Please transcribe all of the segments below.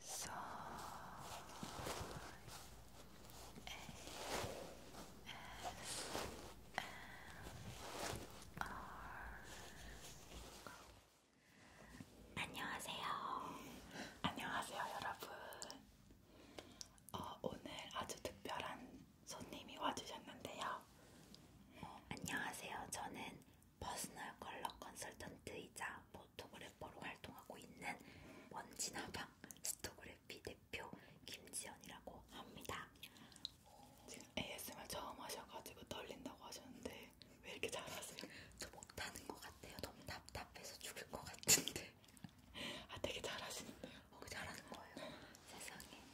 So 안녕하세요. 안녕하세요, 여러분. 어, 오늘 아주 특별한 손님이 와주셨는데요. 어, 안녕하세요. 저는 퍼스널 컬러 컨설턴트이자 포토그래퍼로 활동하고 있는 먼지나방 스토그래피 대표 김지연이라고 합니다. 지금 ASMR 처음 하셔가지고 떨린다고 하셨는데 왜 이렇게 잘하세요? 저 못하는 것 같아요. 너무 답답해서 죽을 것 같은데. 아 되게 잘하시는데요? 어, 잘하는 거예요. 세상에.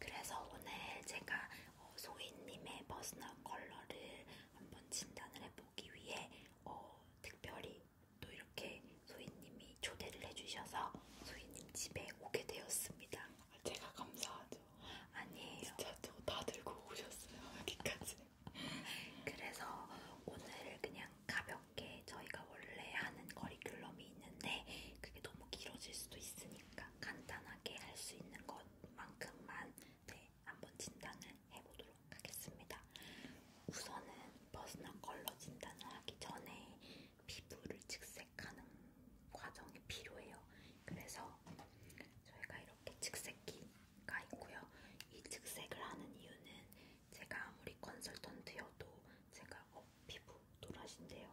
그래서 오늘 제가 어, 소희님의 퍼스널 컬러를 한번 진단을 해보기 위해 어, 특별히 또 이렇게 소희님이 초대를 해주셔서 소희님 집에 오게 되었습니다. 제가 감사하죠. 아니에요. 진짜 다 들고 오셨어요. 여기까지. 그래서 오늘 그냥 가볍게 저희가 원래 하는 커리큘럼이 있는데 그게 너무 길어질 수도 있으니까 간단하게 할 수 있는 것만큼만 네, 한번 진단을 해보도록 하겠습니다. 우선은 퍼스널 컬러 진단을 하기 전에 피부를 직색하는 과정이 필요해요. 그래서 저희가 이렇게 직색기가 있고요. 이 직색을 하는 이유는 제가 아무리 컨설턴트여도 제가 어, 피부 노라신데요,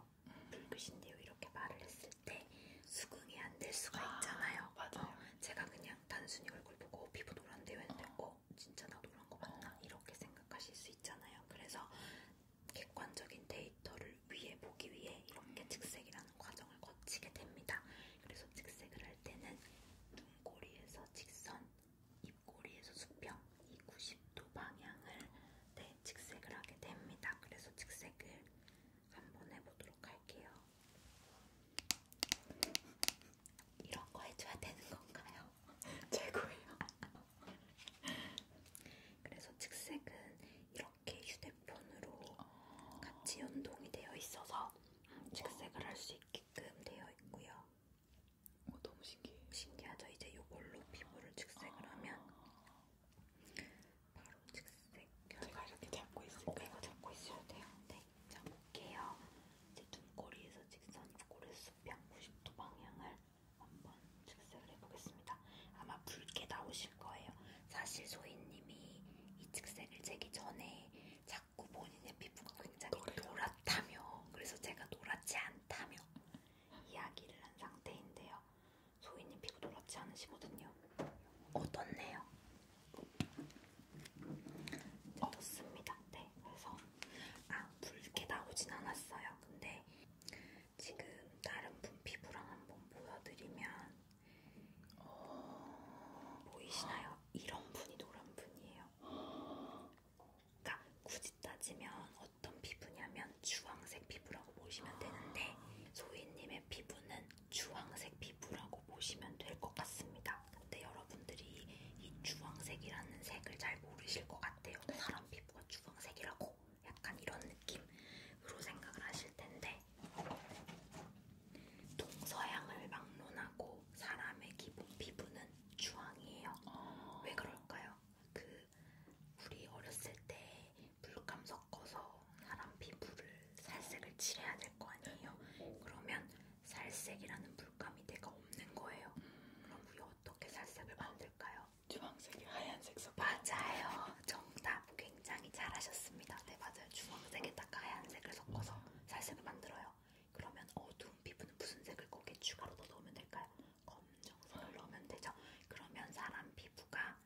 붉으신데요 이렇게 말을 했을 때 수긍이 안 될 수가 아, 있잖아요. 아, 맞아요. 어, 제가 그냥 그냥 단순히 얼굴 보고 피부 노란데 했는데 어. 어 진짜 나 노란 거 맞나? 어. 이렇게 생각하실 수 있잖아요. 그래서 객관적인 데이터를 위해 보기 위해 이렇게 음. 직색이라는 과정을 거치게 됩니다. 그래서 직색을 할 때는 눈꼬리에서 직선, 입꼬리에서 수평 이 90도 방향을 네, 직색을 하게 됩니다. 그래서 직색을 한번 해보도록 할게요. 이런 거 해줘야 되는 건가요? 최고예요. 그래서 측색은 이렇게 휴대폰으로 같이 연동이 되어 있어서 측색을 할 수 있게끔 되어 있고요. 어, 너무 신기해. 신기하죠? 이제 이걸로 피부를 측색을 하면 바로 측색. 제가 이렇게 잡고 있을까요? 어, 이거 잡고 있어야 돼요. 네. 잡을게요. 이제 눈꼬리에서 직선 입꼬리에서 수평 90도 방향을 한번 직색을 해보겠습니다. 아마 붉게 나오실 거예요. 사실 소희님이 이 직색을 재기 전에 자꾸 본인의 피부가 굉장히 노랗다며 그래서 제가 노랗지 않다며 이야기를 한 상태인데요. 소희님 피부 노랗지 않으시거든요. 어떻네요? 없습니다. 네, 그래서 아 붉게 나오진 않았어요. 근데 지금 다른 분 피부랑 한번 보여드리면 어... 보이시나요? 이런 분이 노란 분이에요. 그러니까 굳이 따지면 어떤 피부냐면 주황색 피부라고 보시면 되는데 소희님의 피부는 주황색 피부라고 보시면 될 것 같습니다. 근데 여러분들이 이 주황색이라는 색을 잘 모르실 것 같아요. 사람 피부가 주황색이라고 약간 이런 느낌으로 생각을 하실 텐데 동서양을 막론하고 사람의 기본 피부는 주황이에요. 어... 왜 그럴까요? 그 우리 어렸을 때 물감 섞어서 사람 피부를 살색을 칠해야 될 거 아니에요. 그러면 살색이라는 물감이 내가 없는 거예요. 음. 그럼 우리 어떻게 살색을 만들까요? 주황색이 하얀색 섞 맞아요. 정답 굉장히 잘하셨습니다. 네 맞아요. 주황색에다가 하얀색을 섞어서 살색을 만들어요. 그러면 어두운 피부는 무슨 색을 거기에 추가로 더 넣으면 될까요? 검정색을 넣으면 되죠. 그러면 사람 피부가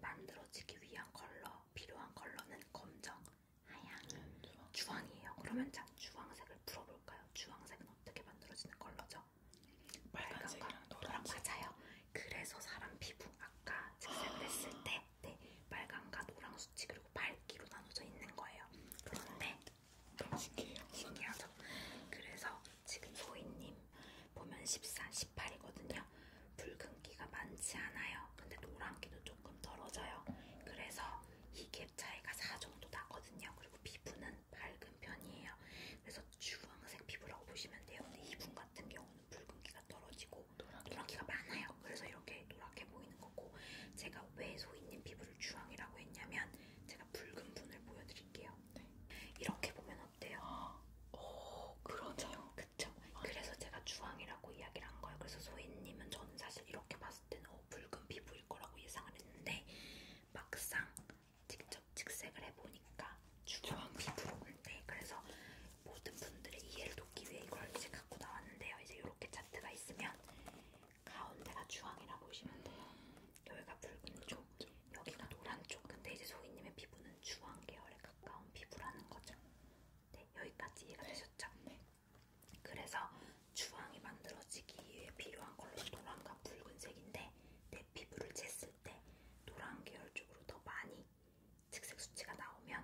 만들어지기 위한 컬러, 필요한 컬러는 검정, 하얀 주황. 주황이에요. 그러면 자 주황색을 풀어볼까요? 주황색은 어떻게 만들어지는 컬러죠? 빨간색이랑 노랑 맞아요. 그래서 사람 피부 아까 색색을 했을 때 네, 빨강과 노랑 수치 그리고 밝기로 나눠져 있는 거예요. 그런데 너무 신기해요. 신기하죠? 그래서 지금 소희님 보면 14, 18이거든요. 붉은기가 많지 않아요. 근데 노란기도 조금 덜어져요. 그래서 이갭 차이가 4 정도 나거든요. 그리고 피부는 밝은 편이에요. 그래서 주황색 피부라고 보시면 돼요. 근데 이분 같은 경우는 붉은기가 떨어지고 노란기가 많아요. 그래서 이렇게 노랗게 보이는 거고 제가 왜 소희님 피부를 주황이라고 했냐면 제가 붉은 분을 보여드릴게요. 네. 이렇게 보면 어때요? 오, 어, 그러네요. 그쵸. 그래서 제가 주황이라고 이야기를 한 거예요. 그래서 소희님은 저는 사실 이렇게 봤을 때는 어, 붉은 피부일 거라고 예상을 했는데 막상 직접 직색을 해보니까 주황 피부인데 네, 그래서 모든 분들의 이해를 돕기 위해 이걸 이제 갖고 나왔는데요. 이제 이렇게 차트가 있으면 가운데가 주황이라 보시면 돼요. 여기가 붉은 쪽, 여기가 노란 쪽. 근데 이제 소희님의 피부는 주황 계열에 가까운 피부라는 거죠. 네, 여기까지 이해가 되셨죠? 네. 그래서 주황이 만들어지기 위해 필요한 컬러 노란과 붉은색인데 내 피부를 쟀을 때 노란 계열 쪽으로 더 많이 특색 수치가 나오면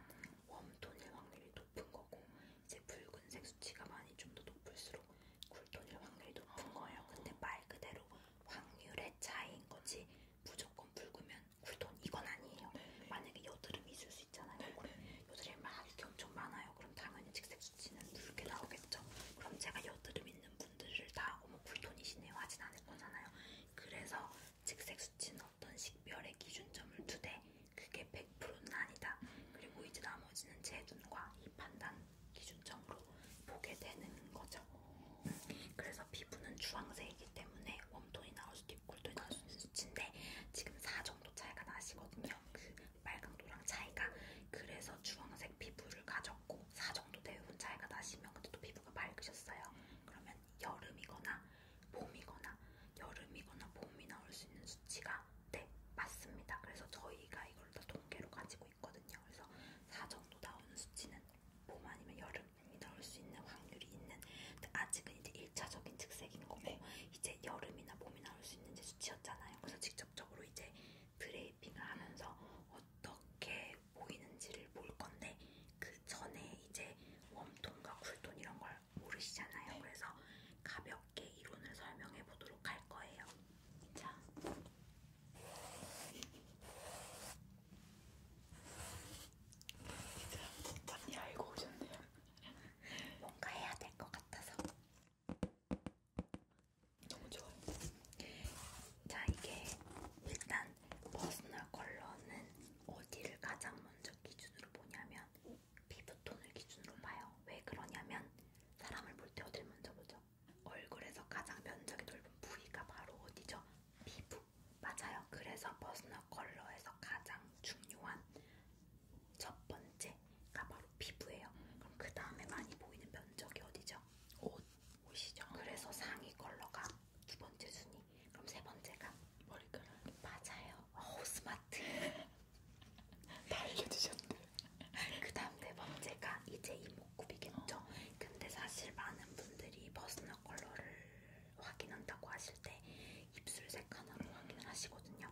웜톤일 확률이 높은 거고 이제 붉은색 수치가 많이 좀 더 높을수록 쿨톤일 확률이 높은 거예요. 근데 말 그대로 확률의 차이인 거지 무조건 붉으면 쿨톤 이건 아니에요. 네네. 만약에 여드름이 있을 수 있잖아요. 네, 네. 여드름 막 이렇게 엄청 많아요. 그럼 당연히 직색 수치는 누렇게 나오겠죠. 그럼 제가 여드름 있는 분들을 다 어머 쿨톤이시네요 하진 않을 거잖아요. 그래서 직색 수치는 어떤 식별의 기준점을 두되 그게 100%는 아니다. 그리고 이제 나머지는 제 눈과 이 판단 기준점으로 보게 되는 거죠. 음, 그래서 피부는 주황색이기 때문에 웜톤이 나올 수도 골똘히 나눠주는 수치인데 지금 4 정도 차이가 나시거든요. 그 빨강도랑 차이가 그래서 주황색 피부를 가졌고 4 정도 대부분 차이가 나시면 근데 또 피부가 맑으셨어요. 그러면 여름이거나 봄이거나 여름이거나 봄이 나올 수 있는 수치가 네 맞습니다. 그래서 저희가 이걸 다 통계로 가지고 있거든요. 그래서 4 정도 나오는 수치는 봄 아니면 여름이 나올 수 있는 확률이 있는. 근데 아직은 이제 일차적인 즉색인 거고 네. 이제 여름이나 봄이 나올 수 있는 이제 수치였잖아요. 그래서 직접적으로 이제 드레이핑을 하면서 어떻게 보이는지를 볼 건데 그 전에 이제 웜톤과 쿨톤 이런 걸 모르시잖아요. 네. 그래서 가볍게 이론을 설명해 보도록 할 거예요. 자. 진짜 많이 알고 오셨네요. 뭔가 해야 될 것 같아서 너무 좋아요. 자 이게 일단 퍼스널 컬러는 어디를 가장 먼저 기준으로 보냐면 피부톤을 기준으로 봐요. 왜 그러냐면 사람을 볼 때 어딜 먼저 보죠? 얼굴에서 가장 면적이 넓은 부위가 바로 어디죠? 피부. 맞아요. 그래서 퍼스널 컬러에서 가장 중요한 첫 번째가 바로 피부예요. 그럼 그 다음에 많이 보이는 면적이 어디죠? 옷. 옷이죠. 그래서 상의 컬러가 두 번째 순위. 그럼 세 번째가 머리카락. 맞아요. 오 어, 스마트. 다 알려주셨네. 그 다음 네 번째가 이제 이목구비겠죠. 어. 근데 사실 많은 분들이 버스너 컬러를 확인한다고 하실 때 입술색 하나로 확인을 하시거든요.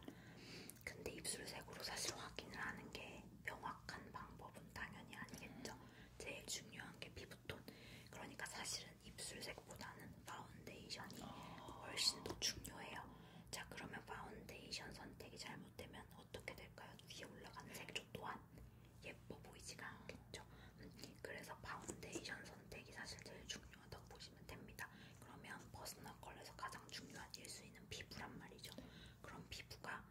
근데 입술색으로 사실 확인을 하는 게 명확한 방법은 당연히 아니겠죠. 제일 중요한 게 피부톤. 그러니까 사실은 입술색보다는 파운데이션이 훨씬 더 중요해요. 자, 그러면 파운데이션 선택이 잘못되면 어떻게 될까요? 위에 올라가는 색조 또한 예뻐 보이지가 않겠죠. 음, 그래서 파운데이션 선택이 사실 제일 중요하다고 보시면 생각하시면 됩니다. 그러면 버스널 컬러에서 가장 중요한 일수인은 피부란 말이죠. 그럼 피부가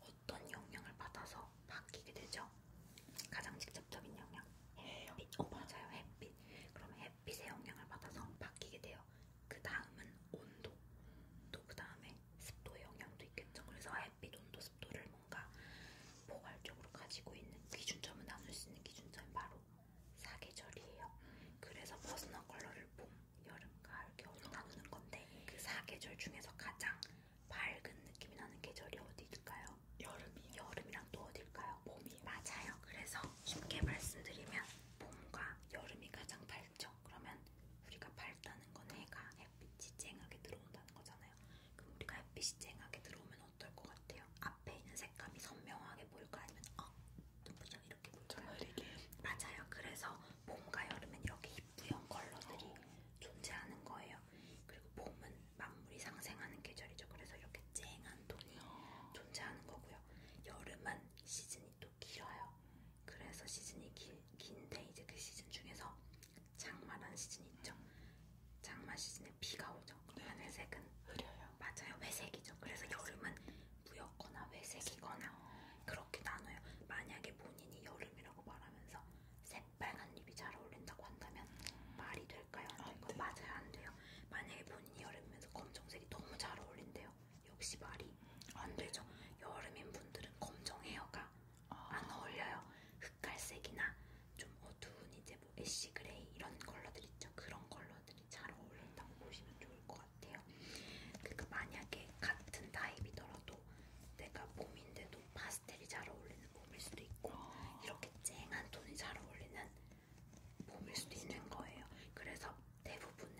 어떤 영향을 받아서 바뀌게 되죠? 가장 직접적인 영향. 햇빛. 어, 맞아요. 햇빛. 그럼 햇빛의 영향을 받아서 바뀌게 돼요. 그 다음은 온도. 또 그 다음에 습도의 영향도 있겠죠. 그래서 햇빛, 온도, 습도를 뭔가 포괄적으로 가지고 있는 기준점을 나눌 수 있는 기준점이 바로 사계절이에요. 그래서 퍼스널 컬러를 봄, 여름, 가을, 겨울로 나누는 건데 그 사계절 중에서 가장 밝은 느낌이 나는 계절이 어디일까요? 여름이요. 여름이랑 또 어딜까요? 봄이요. 맞아요. 그래서 쉽게 말씀드리면 봄과 여름이 가장 밝죠. 그러면 우리가 밝다는 건 해가 햇빛이 쨍하게 들어온다는 거잖아요. 그럼 우리가 햇빛이 쨍하게 들어오면 어떨 것 같아요? 앞에 있는 색감이 선명하게 보일까 아니면 어? 눈부셔 이렇게 보일까요? 맞아요. 그래서 봄과 여름엔 이렇게 이쁘형 컬러들이 어. 존재하는 거예요. 그리고 봄은 만물이 상생하는 계절이죠. 그래서 이렇게 쨍한 톤이 어. 존재하는 거고요. 여름은 시즌이 또 길어요. 그래서 시즌이 길, 긴데 이제 그 시즌 중에서 장마라는 시즌이 있죠. 장마 시즌에 비가 오죠. 거죠. 네. 하늘색은 흐려요. 맞아요. 회색이죠. 그래서 여름은 무였거나 회색이거나 아. 그렇게 나눠요. 만약에 본인이 여름이라고 말하면서 새빨간 립이 잘 어울린다고 한다면 말이 될까요? 안 될까요? 안 맞아요. 안 돼요. 만약에 본인이 여름이면서 검정색이 너무 잘 어울린대요. 역시 말이 안 되죠. 여름인 분들은 검정 헤어가 아. 안 어울려요. 흑갈색이나 좀 어두운 이제 뭐 애쉬 그레이 이런 컬러들 있죠. 그런 컬러들이 잘 어울린다고 보시면 좋을 것 같아요. 그러니까 만약에 같은 타입이더라도 내가 봄인데도 파스텔이 잘 어울리는 봄일 수도 있고 아. 이렇게 쨍한 톤이 잘 어울리는 봄일 수도 있는 거예요. 그래서 대부분은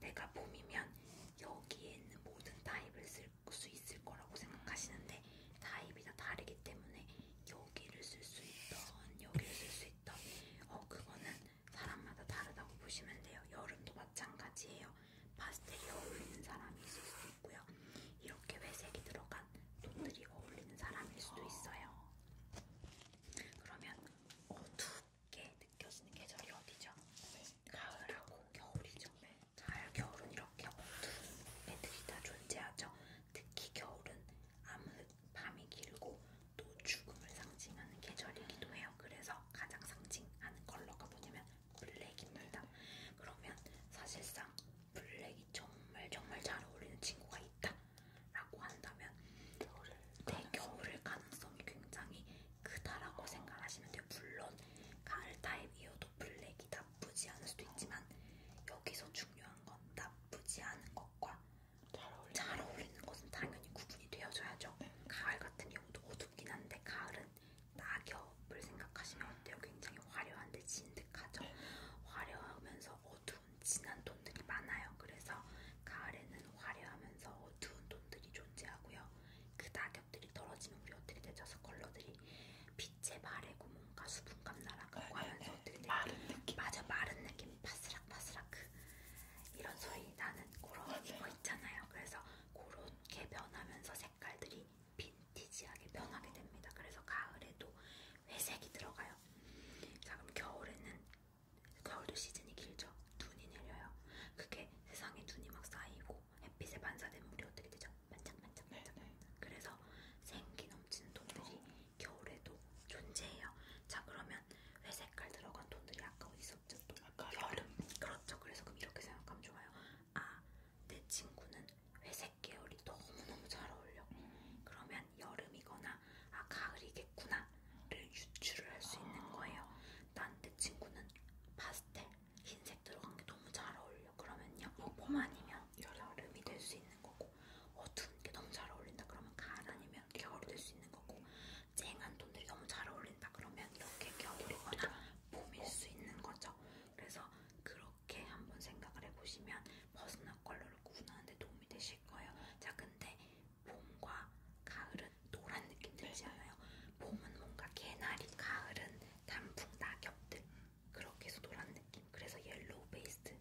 내가 봄이면 여기에 있는 모든 타입을 쓸 수 있을 거라고 생각하시는데 타입이 다 다르기 때문에 여기를 쓸 수 있던 여기를 쓸수 있던 어 그거는 사람마다 다르다고 보시면 돼요. 여름도 마찬가지예요. 파스텔이 어울리는 사람이 있을 수도 있고요. 이렇게 회색이 들어간 돈들이 어울리는 사람일 수도 있어요. 그러면 어둡게 느껴지는 계절이 어디죠? 네. 가을하고 겨울이죠. 네. 가을, 겨울은 이렇게 어두운 애들이 다 존재하죠. 특히 겨울은 암흑, 밤이 길고 또 죽음을 상징하는 계절이기도 해요. 그래서 가장 상징하는 컬러가 뭐냐면 블랙입니다. 그러면 사실상 블랙이 정말 정말 잘 어울리는 친구가 있다라고 한다면 겨울에 겨울을 네, 가능성이 굉장히 크다라고 생각하시면 돼요. 물론 가을 타입이어도 블랙이 나쁘지 않을 수도 있지만 여기서 중요한 건 나쁘지 않은 것과 잘, 어울리는, 잘 어울리는 것은 당연히 구분이 되어줘야죠. 네. 가을 같은 경우도 어둡긴 한데 가을은 낙엽을 생각하시면 어때요? 굉장히 화려한데 진득하죠. 네. 화려하면서 어두운 진한 톤들이 많아요. 그래서 가을에는 화려하면서 어두운 톤들이 존재하고요. 그 낙엽들이 떨어지면 우리 어떻게 되죠? 컬러들이 빛의 발에고 뭔가 수분감 날아가고 아, 하면서 네, 되게 네, 네. 마른 느낌 맞아 마른 느낌 바스락바스락 그 이런 소리 나는 그런 맞아요. 거 있잖아요 그래서 그렇게 변하면서 색깔들이 빈티지하게 변하게 됩니다 그래서 가을에도 회색이 들어가요 자 그럼 겨울에는 겨울도 시즌이 길죠 눈이 내려요 그게 세상에 눈이 막 쌓이고 햇빛에 반사된 물이 어떻게 되죠? 반짝반짝반짝. 네네. 네. 그래서 생기 넘치는 돌들이 겨울에도 존재해요. 자 그러면 회색깔 들어간 돈들이 아까 어디 있었죠? 또 아까 여름. 그렇죠. 그래서 그럼 이렇게 생각하면 좋아요. 아, 내 친구는 회색 계열이 너무너무 잘 어울려. 음. 그러면 여름이거나 아 가을이겠구나를 유추를 할수 아. 있는 거예요. 난 내 친구는 파스텔 흰색 들어간 게 너무 잘 어울려. 그러면요. 뭐봄 아니면 여름이 될 수 있는 거고 어두운 게 너무 잘 어울린다 그러면 가을 아니면 겨울이 될 수 있는 거고 쨍한 톤들이 너무 잘 어울린다 그러면 이렇게 겨울이거나 봄일 수 있는 거죠. 그래서 그렇게 한번 생각을 해보시면 버스나 컬러를 구분하는데 도움이 되실 거예요. 자, 근데 봄과 가을은 노란 느낌 들지 네. 않아요? 봄은 뭔가 개나리, 가을은 단풍, 낙엽들 그렇게 해서 노란 느낌. 그래서 옐로우 베이스를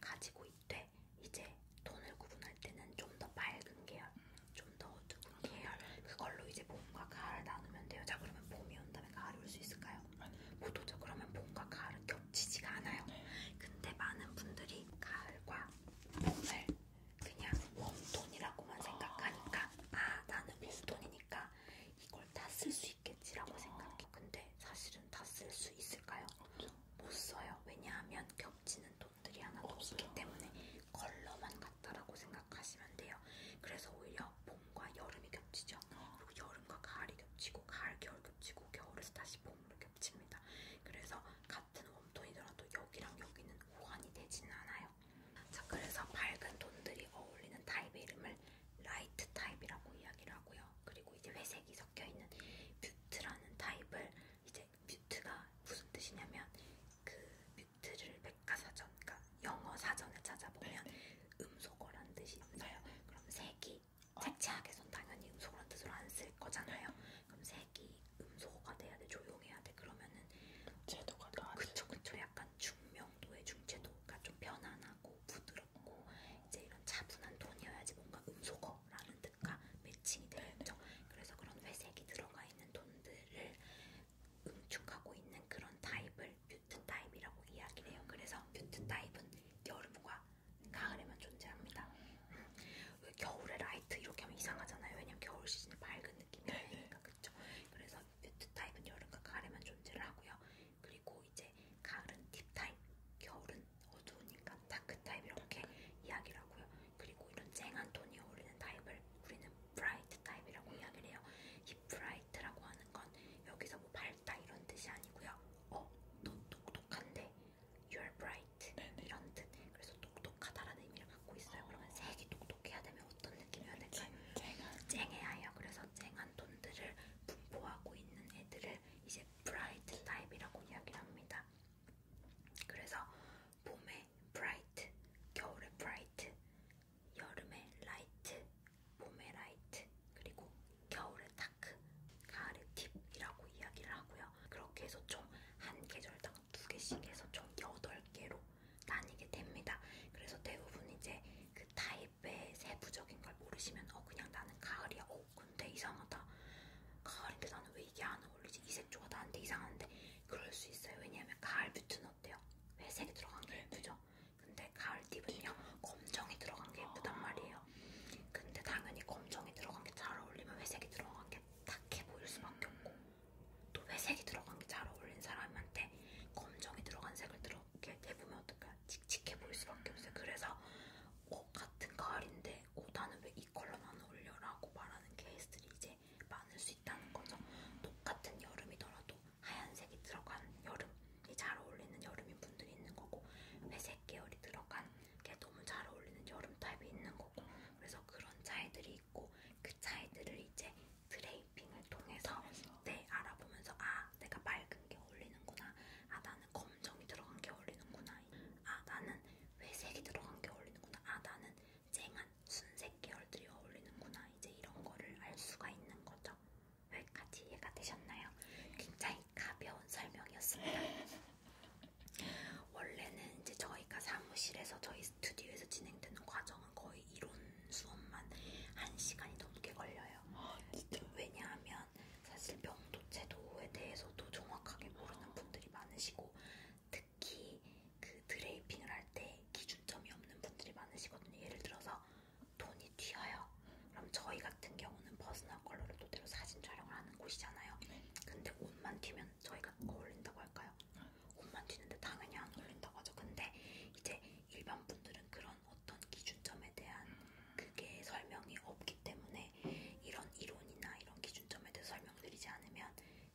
가지고 하고 뭐 있대. 이제 돈을 구분할 때는 좀 더 밝은 계열, 좀 더 어두운 아, 계열 네. 그걸로 이제 봄과 가을을 나누면 돼요. 자 그러면 봄이 온다면 가을이 올수 있을까요? 못오죠 그러면 봄과 가을은 겹치지가 않아요. 네. 근데 많은 분들이 가을과 봄을 그냥 웜톤이라고만 아. 생각하니까 아 나는 웜톤이니까 이걸 다 쓸 수 있겠지라고 아. 생각해. 근데 건데 사실은 다 쓸 수 있을까요? 없죠. 못 써요. 왜냐하면 겹치는 돈들이 하나도 없어요. 없기 때문에 컬러만 같다라고 생각하시면 돼요. 그래서 오히려 봄과 여름이 겹치죠. 그리고 여름과 가을이 겹치고 가을, 겨울 겹치고 겨울에서 다시 봄으로 겹칩니다. 그래서 같은 웜톤이더라도 여기랑 여기는 호환이 되지는 않아요. 자, 그래서 밝은 톤들이 어울리는 타입의 이름을 라이트 타입이라고 이야기를 하고요. 그리고 이제 회색이 섞여 있는 뮤트라는 타입을 이제 뮤트가 무슨 뜻이냐면 그 뮤트를 백과사전, 그러니까 영어 사전에 찾아보면 네. 음소거란 뜻이 있어요. 네. 그럼 색이 색채학에선 당연히 음소거란 뜻으로 안 쓸 거잖아요. 그럼 색이 음소거가 돼야 돼, 조용해야 돼. 그러면은 제도가 나. 그쵸, 그쵸. 약간 중명도의 중채도가 좀 편안하고 부드러. 부드럽고 이제 이런 차분한 톤이어야지 뭔가 음소거라는 뜻과 매칭이 되죠. 그래서 그런 회색이 들어가 있는 톤들을 응축하고 있는 그런 타입을 뮤트 타입이라고 이야기를 해요. 그래서 뮤트 타입은 여름과 가을에만 존재합니다. 왜 겨울에 라이트 이렇게 하면 이상하잖아요. 왜냐면 겨울 시즌에 밝은 느낌이 나니까 그렇죠. 그래서 뮤트 타입은 여름과 가을에만 존재를 하고요. 그리고 그리고 이제 가을은 딥타입, 겨울은 어두우니까 다크타입 이렇게 이야기를 하고요. 그리고 이런 쨍한 톤이 어울리는 타입을 우리는 브라이트 타입이라고 이야기를 해요. 이 브라이트라고 하는 건 여기서 뭐 밝다 이런 뜻이 아니고요. 어, 너 똑똑한데 you're bright 네네. 이런 뜻. 그래서 똑똑하다라는 의미를 갖고 있어요. 어... 그러면 색이 똑똑해야 되면 어떤 느낌이어야 될까요? 쨍, 쨍해야 해요. 그래서 쨍한 톤들을 분포하고 있는 애들을 이제 브라이트 타입이라고 이야기를 합니다. 그래서 봄에 브라이트, 겨울에 브라이트, 여름에 라이트, 봄에 라이트, 그리고 겨울에 다크, 가을에 딥이라고 이야기를 하고요. 그렇게 해서 총 한 계절당 두 개씩 해서 총 8개로 나뉘게 됩니다. 그래서 대부분 이제 그 타입 왜 세부적인 걸 모르시면 어 그냥 나는 가을이야 어 근데 이상하다 가을인데 나는 왜 이게 안 어울리지 이 색조가 나한테 이상한데 그럴 수 있어요 왜냐면 가을 뷰트는 어때요? 회색이 들어간 게 예쁘죠? 근데 가을 팁은요 검정이 들어간 게 예쁘단 말이에요 근데 당연히 검정이 들어간 게 잘 어울리면 회색이 들어간 게 탁해 보일 수밖에 없고 또 회색이 들어간 게 잘 어울린 사람한테 검정이 들어간 색을 들어게 대보면 어떨까요? 칙칙해 보일 수밖에 없어요. 그래서 어, 같은 가을인데 어, 나는 왜 이 컬러는 안 어울려라고 말하는 케이스들이 이제 많을 수 있다는 거죠. 똑같은 여름이더라도 하얀색이 들어간 여름이 잘 어울리는 여름인 분들이 있는 거고 회색 계열이 들어간 게 너무 잘 어울리는 여름 타입이 있는 거고 그래서 그런 차이들이 있고 그 차이들을 이제 드레이핑을 통해서 네 알아보면서 아 내가 맑은 게 어울리는구나. 아, 나는 검정이 들어간 게 어울리는구나. 아, 나는 회색이 들어간 게 어울리는구나. 아, 나는 쨍한 순색 계열들이 어울리는구나. 이제 이런 거를 알 수가 있는 거죠. 여기까지 이해가 되셨나요? 굉장히 가벼운 설명이었습니다. 원래는 이제 저희가 사무실에서 저희 스튜디오에서 진행되는 과정은 거의 이론 수업만 한 시간이 넘게 걸려요. 아, 왜냐하면 있지만 사실 병도체도에 대해서도 정확하게 모르는 분들이 많으시고 특히 그 드레이핑을 할 때 기준점이 없는 분들이 많으시거든요. 예를 들어서 돈이 튀어요. 그럼 저희 같은 경우는 버스널 컬러를 토대로 사진 촬영을 하는 곳이잖아요. 네. 근데 옷만 튀면 저희가 어울린다고 할까요? 네. 옷만 튀는데 당연히 안 어울린다고 하죠. 근데 이제 일반 분들은 그런 어떤 기준점에 대한 그게 설명이 없기 때문에 이런 이론이나 이런 기준점에 대해서 설명드리지 않으면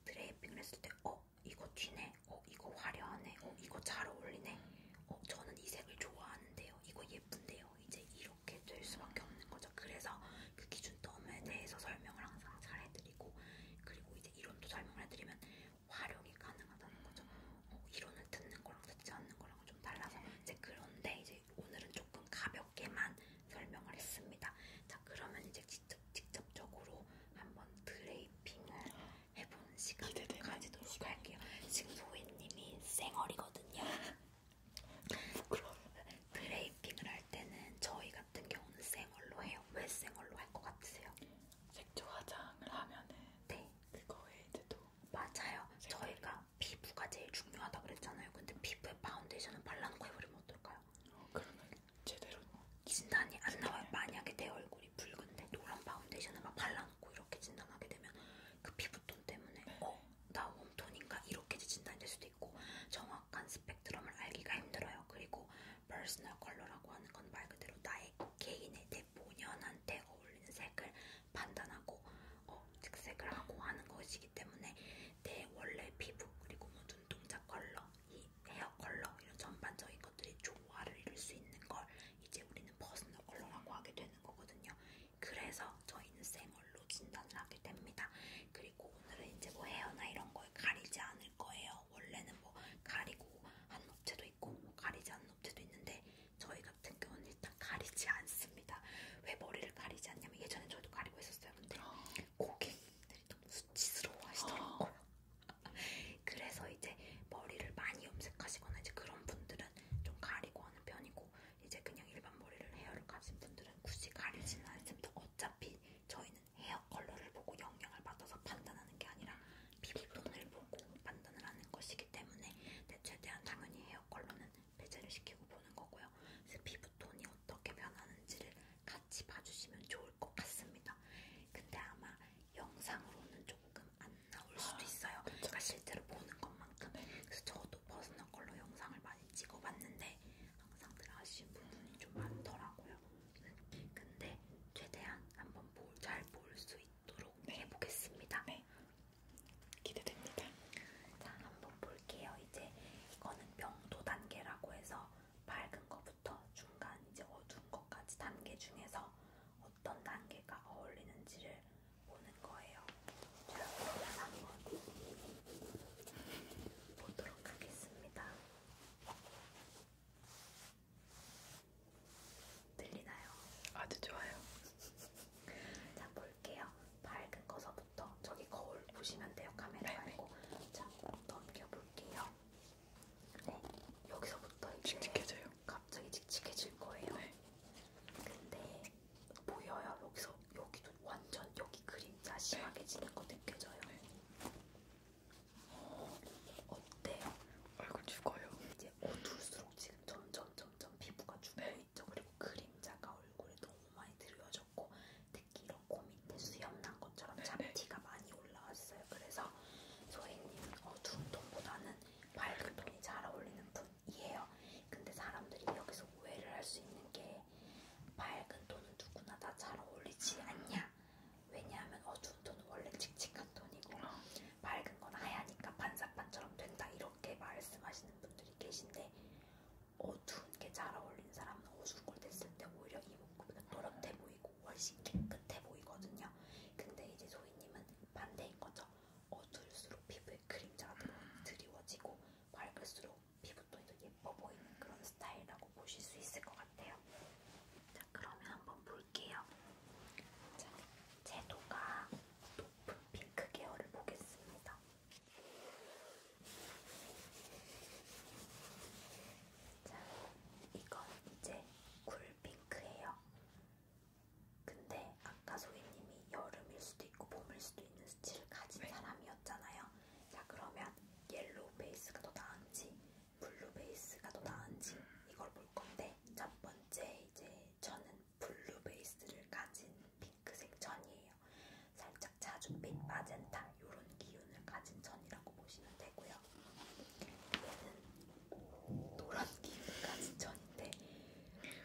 드레이핑을 했을 때 어? 이거 튀네? 어? 이거 화려하네? 어? 이거 잘 어울리네? 어? 저는 이 색을 좋아하는데요? 이거 예쁜데요? 이제 이렇게 될 수밖에 없는 거죠. 그래서 그 기준점에 대해서 설명을 항상 잘 해드리고 그리고 이제 이론도 설명을 해드리면 활용이 가능하다는 거죠. 어, 이론을 듣는 거랑 듣지 않는 거랑은 좀 달라서 이제 그런데 이제 이제 오늘은 조금 가볍게만 설명을 했습니다. 자, 그러면 이제 직접, 직접적으로 한번 드레이핑을 해보는 시간을 가지도록 시간. 할게요. 지금 소희님이 쌩얼이거든요. 드레이핑을 할 때는 저희 같은 경우는 쌩얼로 해요. 왜 쌩얼로 할 것 같으세요? 색조 화장을 하면은 네. 그거에 이제 또 맞아요. 네. 저희가 피부가 제일 중요하다 그랬잖아요. 근데 피부에 파운데이션을 발라놓고 해버리면 어떨까요? 어, 그러면 제대로 진단이 안 진단이 나와요. 만약에 내 얼굴이 붉은데 노란 파운데이션을 막 발라놓고 이렇게 진단하게 되면 그 피부톤 때문에 네. 어? 나 웜톤인가? 이렇게 진단될 수도 있고 정확한 스펙트럼을 알기가 힘들어요. 그리고 퍼스널 컬러라고 하는 건 말 그대로 나의 개인의 내 본연한테 어울리는 색을 판단하고 어, 착색을 하고 하는 것이기 때문에 내 원래 피부 그리고 뭐 눈동자 컬러, 이 헤어 컬러 이런 전반적인 것들이 조화를 이룰 수 있는 걸 이제 우리는 퍼스널 컬러라고 하게 되는 거거든요. 그래서 저희는 생얼로 진단을 하게 됩니다. 그리고 오늘은 이제 뭐 헤어나 이런 거에 가리지 않을 거예요. 원래는 뭐 가리고 하는 업체도 있고 뭐 가리지 않는 업체도 있는데 저희 같은 경우는 일단 가리지 않습니다. 왜 머리를 가리지 않냐면 예전에 저도 가리고 있었어요. 근데 아. 고객님들이 너무 수치스러워 하시더라고요. 아. 그래서 이제 머리를 많이 염색하시거나 이제 그런 분들은 좀 가리고 하는 편이고 이제 그냥 일반 머리를 헤어를 가진 분들은 굳이 가리지는 않습니다. 어차피 저희는 헤어 컬러를 보고 영향을 받아서 판단하는 게 아니라 피부톤을 음, 보고 판단을 하는 것이기 때문에 네, 최대한 당연히 헤어 컬러는 배제를 시키고 보는 거고요. 그래서 피부톤이 어떻게 변하는지를 같이 봐주시면 좋을 것 같습니다. 근데 아마 영상으로는 조금 안 나올 수도 아, 있어요. 제가 그러니까 실제로 보는 것만큼. 그래서 저도 버스널 걸로 영상을 많이 찍어봤는데 항상 들 아쉬운 부분이 좀 많더라고요. 근데 최대한 한번 잘 볼 수 있도록 네. 해보겠습니다. 네. 기대됩니다. 자, 한번 볼게요. 이제 이거는 명도 단계라고 해서 밝은 거부터 중간 이제 어두운 것까지 단계 중에서 어떤 단계가 어울리는지를 보는 거예요. 자, 그러면 한번 보도록 하겠습니다. 들리나요? 아주 좋아요. 자, 볼 넘겨볼게요. 밝은 거서부터 저기 거울 보시면 돼요. 카메라 말고. 네, 네. 자, 넘겨볼게요. 네, 여기서부터 이제 칙칙해져요. 갑자기 칙칙해질 거예요. 네. 근데 보여요. 여기서 여기도 완전 여기 그림자 심하게 네. 지는 거 느껴져요. 네. 어, 어때요? 얼굴 죽어요. 이제 어두울수록 지금 점점 점점 피부가 죽어요. 네. 깔려있죠. 그리고 그림자가 얼굴에 너무 많이 드려졌고 특히 이런 코 밑에 수염난 것처럼 네. 잡티가 많이 올라왔어요. 그래서 소희님은 어두운 톤보다는 밝은 톤이 잘 어울리는 분이에요. 근데 사람들이 여기서 오해를 할 수 있는 게 밝은 톤은 누구나 다 잘 어울리지 않냐? 왜냐하면 어두운 톤은 원래 칙칙한 톤이고 아. 밝은 건 하얘니까 반사판처럼 된다 이렇게 말씀하시는 분들이 분들이 계신데 어두운 게 잘 어울리는 사람은 어수룩을 댔을 때 오히려 이목구비가 또렷해 보이고 훨씬 깨끗해 보이거든요. 근데 이제 소희님은 반대인 거죠. 어두울수록 피부에 그림자가 드리워지고 밝을수록 피부톤이 더 예뻐 보이는 그런 스타일이라고 보실 수 있을 것 같아요. 자, 그러면 한번 볼게요. 자, 제도가 또 핑크 그 계열을 보겠습니다. 자, 이건 이제 쿨핑크예요. 근데 아까 소희님이 여름일 수도 있고 봄일 수도 있는 스치를 가진 네. 사람이었잖아요. 자, 그러면 옐로우 베이스가 더 나은지 블루 베이스가 더 나은지 이걸 볼 건데 첫 번째 이제 저는 블루 베이스를 가진 핑크색 천이에요. 살짝 자줏빛 마젠타 이런 기운을 가진 천이라고 보시면 되고요. 얘는 노란 기운을 가진 천인데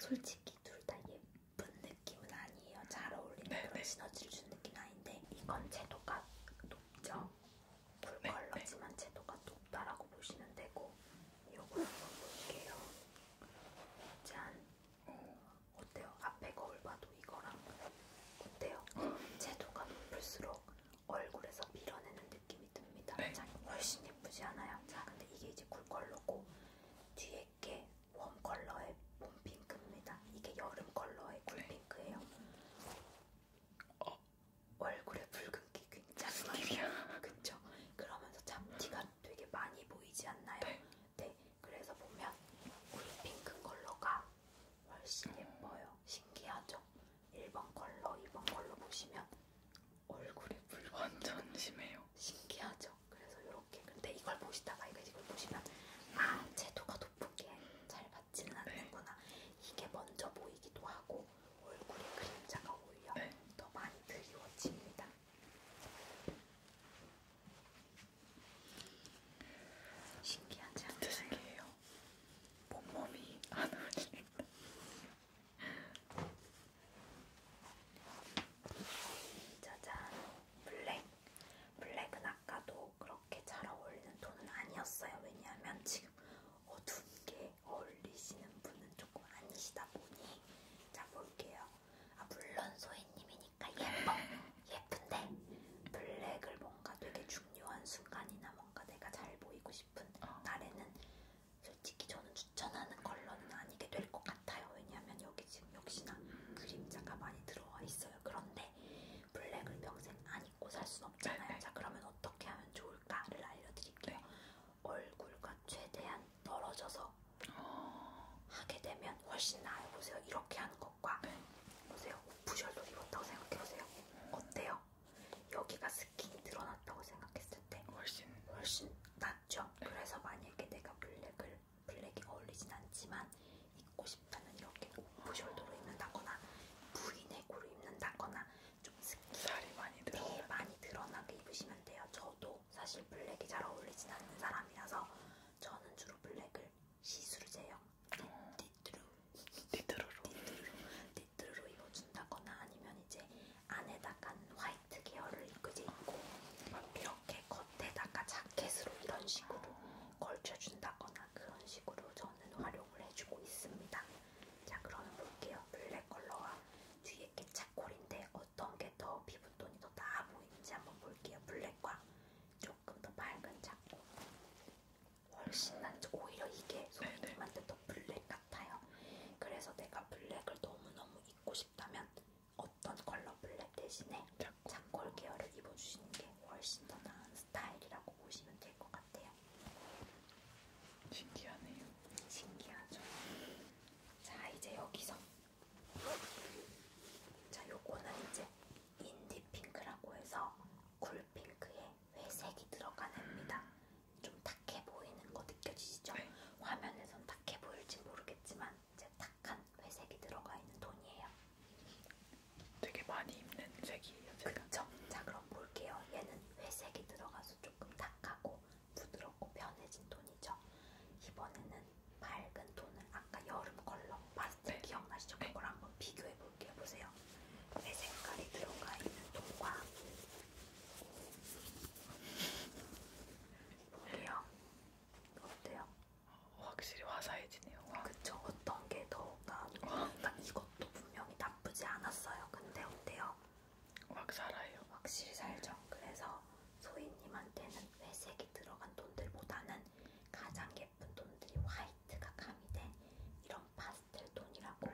솔직히 둘 다 예쁜 느낌은 아니에요. 잘 어울리는 네네. 그런 네. 시너지를 주는 느낌은 아닌데 이건 채도가 높죠. 쿨 네, 컬러지만 네. 채도가 높다라고 보시면 되고 요거 한번 볼게요. 짠! 어때요? 앞에 거울 봐도 이거랑 어때요? 채도가 높을수록 얼굴에서 밀어내는 느낌이 듭니다. 네. 자, 훨씬 예쁘지 않아요? 자, 근데 이게 이제 쿨컬러고 뒤에 게 웜컬러의 봄핑크입니다. 이게 여름컬러의 쿨핑크예요. 네. 어. 얼굴에 붉은기 굉장히 많아요. 그쵸? 그러면서 잡티가 보면 되게 많이 보이지 않나요? 네. 네. 그래서 보면 우리 핑크 컬러가 훨씬 음. 예뻐요. 신기하죠? 1번 컬러, 2번 컬러 보시면 얼굴이 붉은 완전 심해요. 신기하죠? 그래서 이렇게. 근데 이걸 보시다가 이거 이걸 보시면 아 채도가 높은 게잘 받지는 네. 않는구나. 네. 이게 먼저 보이기도 하고 얼굴에 그림자가 오히려 네. 더 많이 드리워집니다. 신기하지 않나요? 신기해요. 몸몸이 안 어울린다. 짜잔. 블랙. 블랙은 아까도 그렇게 잘 어울리는 톤은 아니었어요. 왜냐하면 지금 어두운 게 어울리시는 분은 조금 아니시다 보니 자 볼게요. 아, 물론 소희님이니까 예뻐. 예쁜데 블랙을 뭔가 되게 중요한 순간이나 뭔가 내가 잘 보이고 싶은 어. 날에는 솔직히 저는 추천하는 컬러는 아니게 될 것 같아요. 왜냐하면 여기 지금 역시나 그림자가 많이 들어와 있어요. 그런데 블랙을 평생 안 입고 살 순 없잖아요. 자 그러면 어떻게 하면 좋을까를 알려드릴게요. 네. 얼굴과 최대한 떨어져서 하게 되면 훨씬 나아요. 보세요. 이렇게 하는 것과 네. 보세요. 오프숄더 입었다고 생각해보세요. 어때요? 여기가 스킨이 늘어났다고 생각했을 때 훨씬 훨씬 낫죠. 네. 그래서 만약에 내가 블랙을 블랙이 어울리진 않지만 입고 싶다면 이렇게 오프숄더로 입는다거나 V넥으로 입는다거나 좀 스킨 살이 많이, 네, 많이 늘어나게 입으시면 돼요. 저도 사실 블랙이 잘 어울리진 않는 사람이라서 저는 주로 블랙을 시스루 제형 띠뚜루 띠뚜루로 띠뚜루로 입어준다거나 아니면 이제 안에다가 화이트 계열을 이제 입고 이렇게 겉에다가 자켓으로 이런 식으로 걸쳐준다거나 그런 식으로 저는 활용을 해주고 있습니다. 자 그러면 볼게요. 블랙 컬러와 뒤에 게 차콜인데 어떤 게 더 피부톤이 더나 보이는지 한번 볼게요. 블랙과 조금 더 밝은 작고 훨씬 난 오히려 이게 손님한테 네, 네. 더 블랙 같아요. 그래서 내가 블랙을 너무너무 입고 싶다면 어떤 컬러 블랙 대신에 작골 계열을 입어주시는 게 훨씬 더 나은 스타일이라고 보시면 될 것 같아요. 신기하네요. 신기하죠. 자 이제 여기서 자, 요거는 이제 인디핑크라고 해서 쿨핑크에 회색이 들어간 애입니다. 좀 탁해 보이는 거 느껴지시죠? 네. 화면에선 탁해 보일지 모르겠지만 이제 탁한 회색이 들어가 있는 돈이에요. 되게 많이 입는 색이에요. 그렇죠. 자, 그럼 볼게요. 얘는 회색이 들어가서 조금 탁하고 부드럽고 변해진 톤이죠. 이번에는 밝은 톤을 아까 여름 컬러 파스텔 네. 기억나시죠? 그걸 한번 비교해 볼게요. 보세요. 내 색깔이 들어가 있는 톤과 볼게요. 어때요? 확실히 화사해지네요. 와. 그쵸? 어떤 게 더 나은가? 그러니까 이것도 분명히 나쁘지 않았어요. 근데 어때요? 확 살아요. 확실히 살죠. 그래서 소희님한테는 회색이 들어간 돈들보다는 가장 예쁜 돈들이 화이트가 가미된 이런 파스텔 돈이라고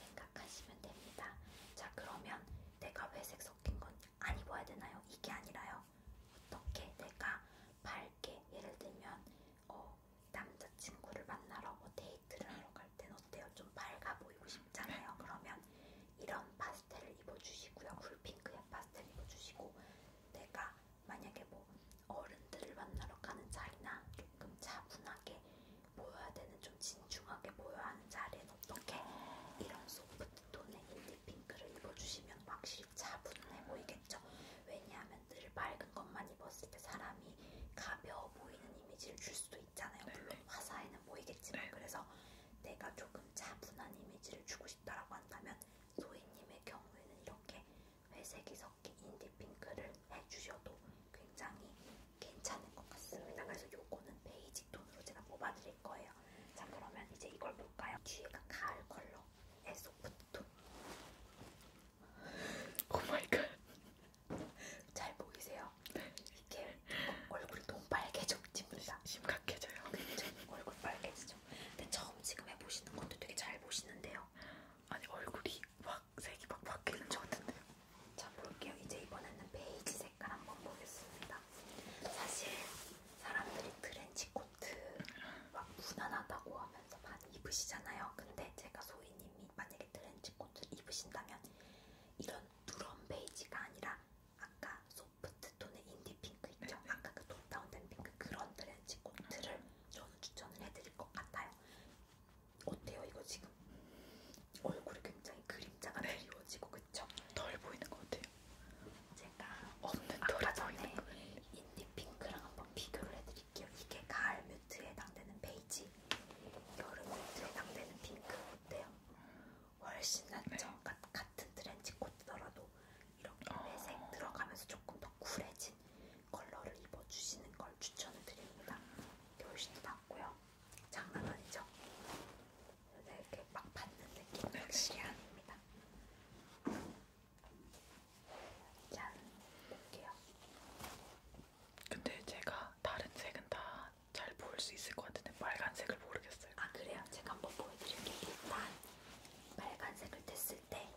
생각하시면 됩니다. 자 그러면 내가 회색 섞인 건안 입어야 되나요? 이게 아니라요. 어떻게 내가 밝게 예를 들면 어, 남자친구를 만나러 뭐 데이트를 하러 갈 땐 어때요? 좀 밝아 보이고 싶잖아요. 그러면 이런 파 파스텔을 입어주시고요. 쿨핑크의 파스텔 입어주시고 내가 만약에 뭐 어른들을 만나러 가는 자리나 조금 차분하게 보여야 되는 좀 진중하게 보여야 하는 자리엔 어떻게 이런 소프트톤의 인디핑크를 입어주시면 확실히 차분해 보이겠죠. 왜냐하면 늘 맑은 것만 입었을 때 사람이 가벼워 보이는 이미지를 줄 수도 있잖아요. 물론 네. 화사에는 보이겠지만 네. 그래서 내가 조금 차분한 이미지를 주고 싶다라고 한다면 소희님의 경우에는 이렇게 회색이 섞인 인디핑크를 해주셔도 굉장히 괜찮을 것 같습니다. 그래서 요거는 베이직 톤으로 제가 뽑아드릴 거예요. 자 그러면 이제 이걸 볼까요? 뒤에가 가을 컬러의 소프트 톤. 오마이갓. 잘 보이세요? 네. 이게 얼굴이 너무 빨개졌습니다. 심각해져요. 그렇죠? 얼굴 빨개지죠. 근데 처음 지금 해보시는 것도 되게 잘 보시는데요. 아니 얼굴이 막 색이 막 바뀌는 것 같은데요. 자 볼게요. 이제 이번에는 베이지 색깔 한번 보겠습니다. 사실 사람들이 트렌치 코트 막 무난하다고 하면서 많이 입으시잖아요. 근데 제가 소희님이 만약에 트렌치 코트를 입으신다면 이런 누런 베이지가 아니라 아까 소프트톤의 인디핑크 있죠? 네네. 아까 그톤 다운된 핑크 그런 트렌치 코트를 저는 추천을 해드릴 것 같아요. 어때요 이거 지금? 얼굴이 굉장히 그림자가 네. 그리워지고 그쵸? 덜 보이는 것 같아요. 제가 없는 아까 전에 인디핑크랑 한번 비교를 해드릴게요. 이게 가을 뮤트에 해당되는 베이지, 여름 뮤트에 해당되는 핑크 어때요? 훨씬 낫죠. 네. 가, 같은 트렌치 코트더라도 이렇게 어... 아. 회색 들어가면서 조금 더 쿨해진 컬러를 입어주시는 걸 추천을 드립니다. 이게 훨씬 더 낫고요. 장난 아니죠? 네, 이렇게 막 받는 느낌 네. 확실히 네. 아닙니다. 짠! 볼게요. 근데 제가 다른 색은 다잘 보일 수 있을 것 같은데 빨간색을 모르겠어요. 아 그래요? 제가 한번 보여드릴게요. 일단 빨간색을 뗐을 때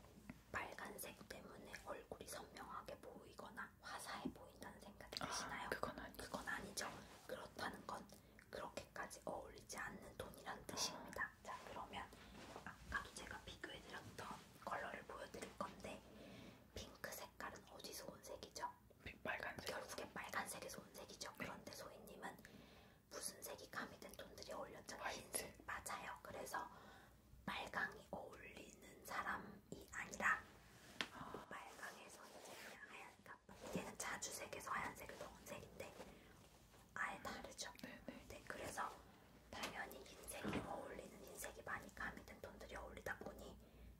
빨간색 때문에 얼굴이 선명하게 보이거나 화사해 보인다는 생각이 아, 드시나요? 아, 그건, 아니. 그건 아니죠. 그렇다는 건 그렇게까지 어울리지 않는 톤이란 뜻입니다. 음. 자 그러면 아까도 제가 비교해드렸던 컬러를 보여드릴 건데 핑크 색깔은 어디서 온 색이죠? 색이죠. 빨간색. 결국에 빨간색이 손색이죠. 네. 그런데 소희님은 무슨 색이 가미된 톤들이 어울렸잖아요. 흰색 맞아요. 그래서 빨강이 어울리는 사람이 아니라 아. 빨강에서 이제 하얀색, 얘는 자주색에서 하얀색을 넣은 색인데 아예 다르죠. 네네. 네. 네, 그래서 당연히 흰색이 어울리는 흰색이 많이 가미된 톤들이 어울리다 보니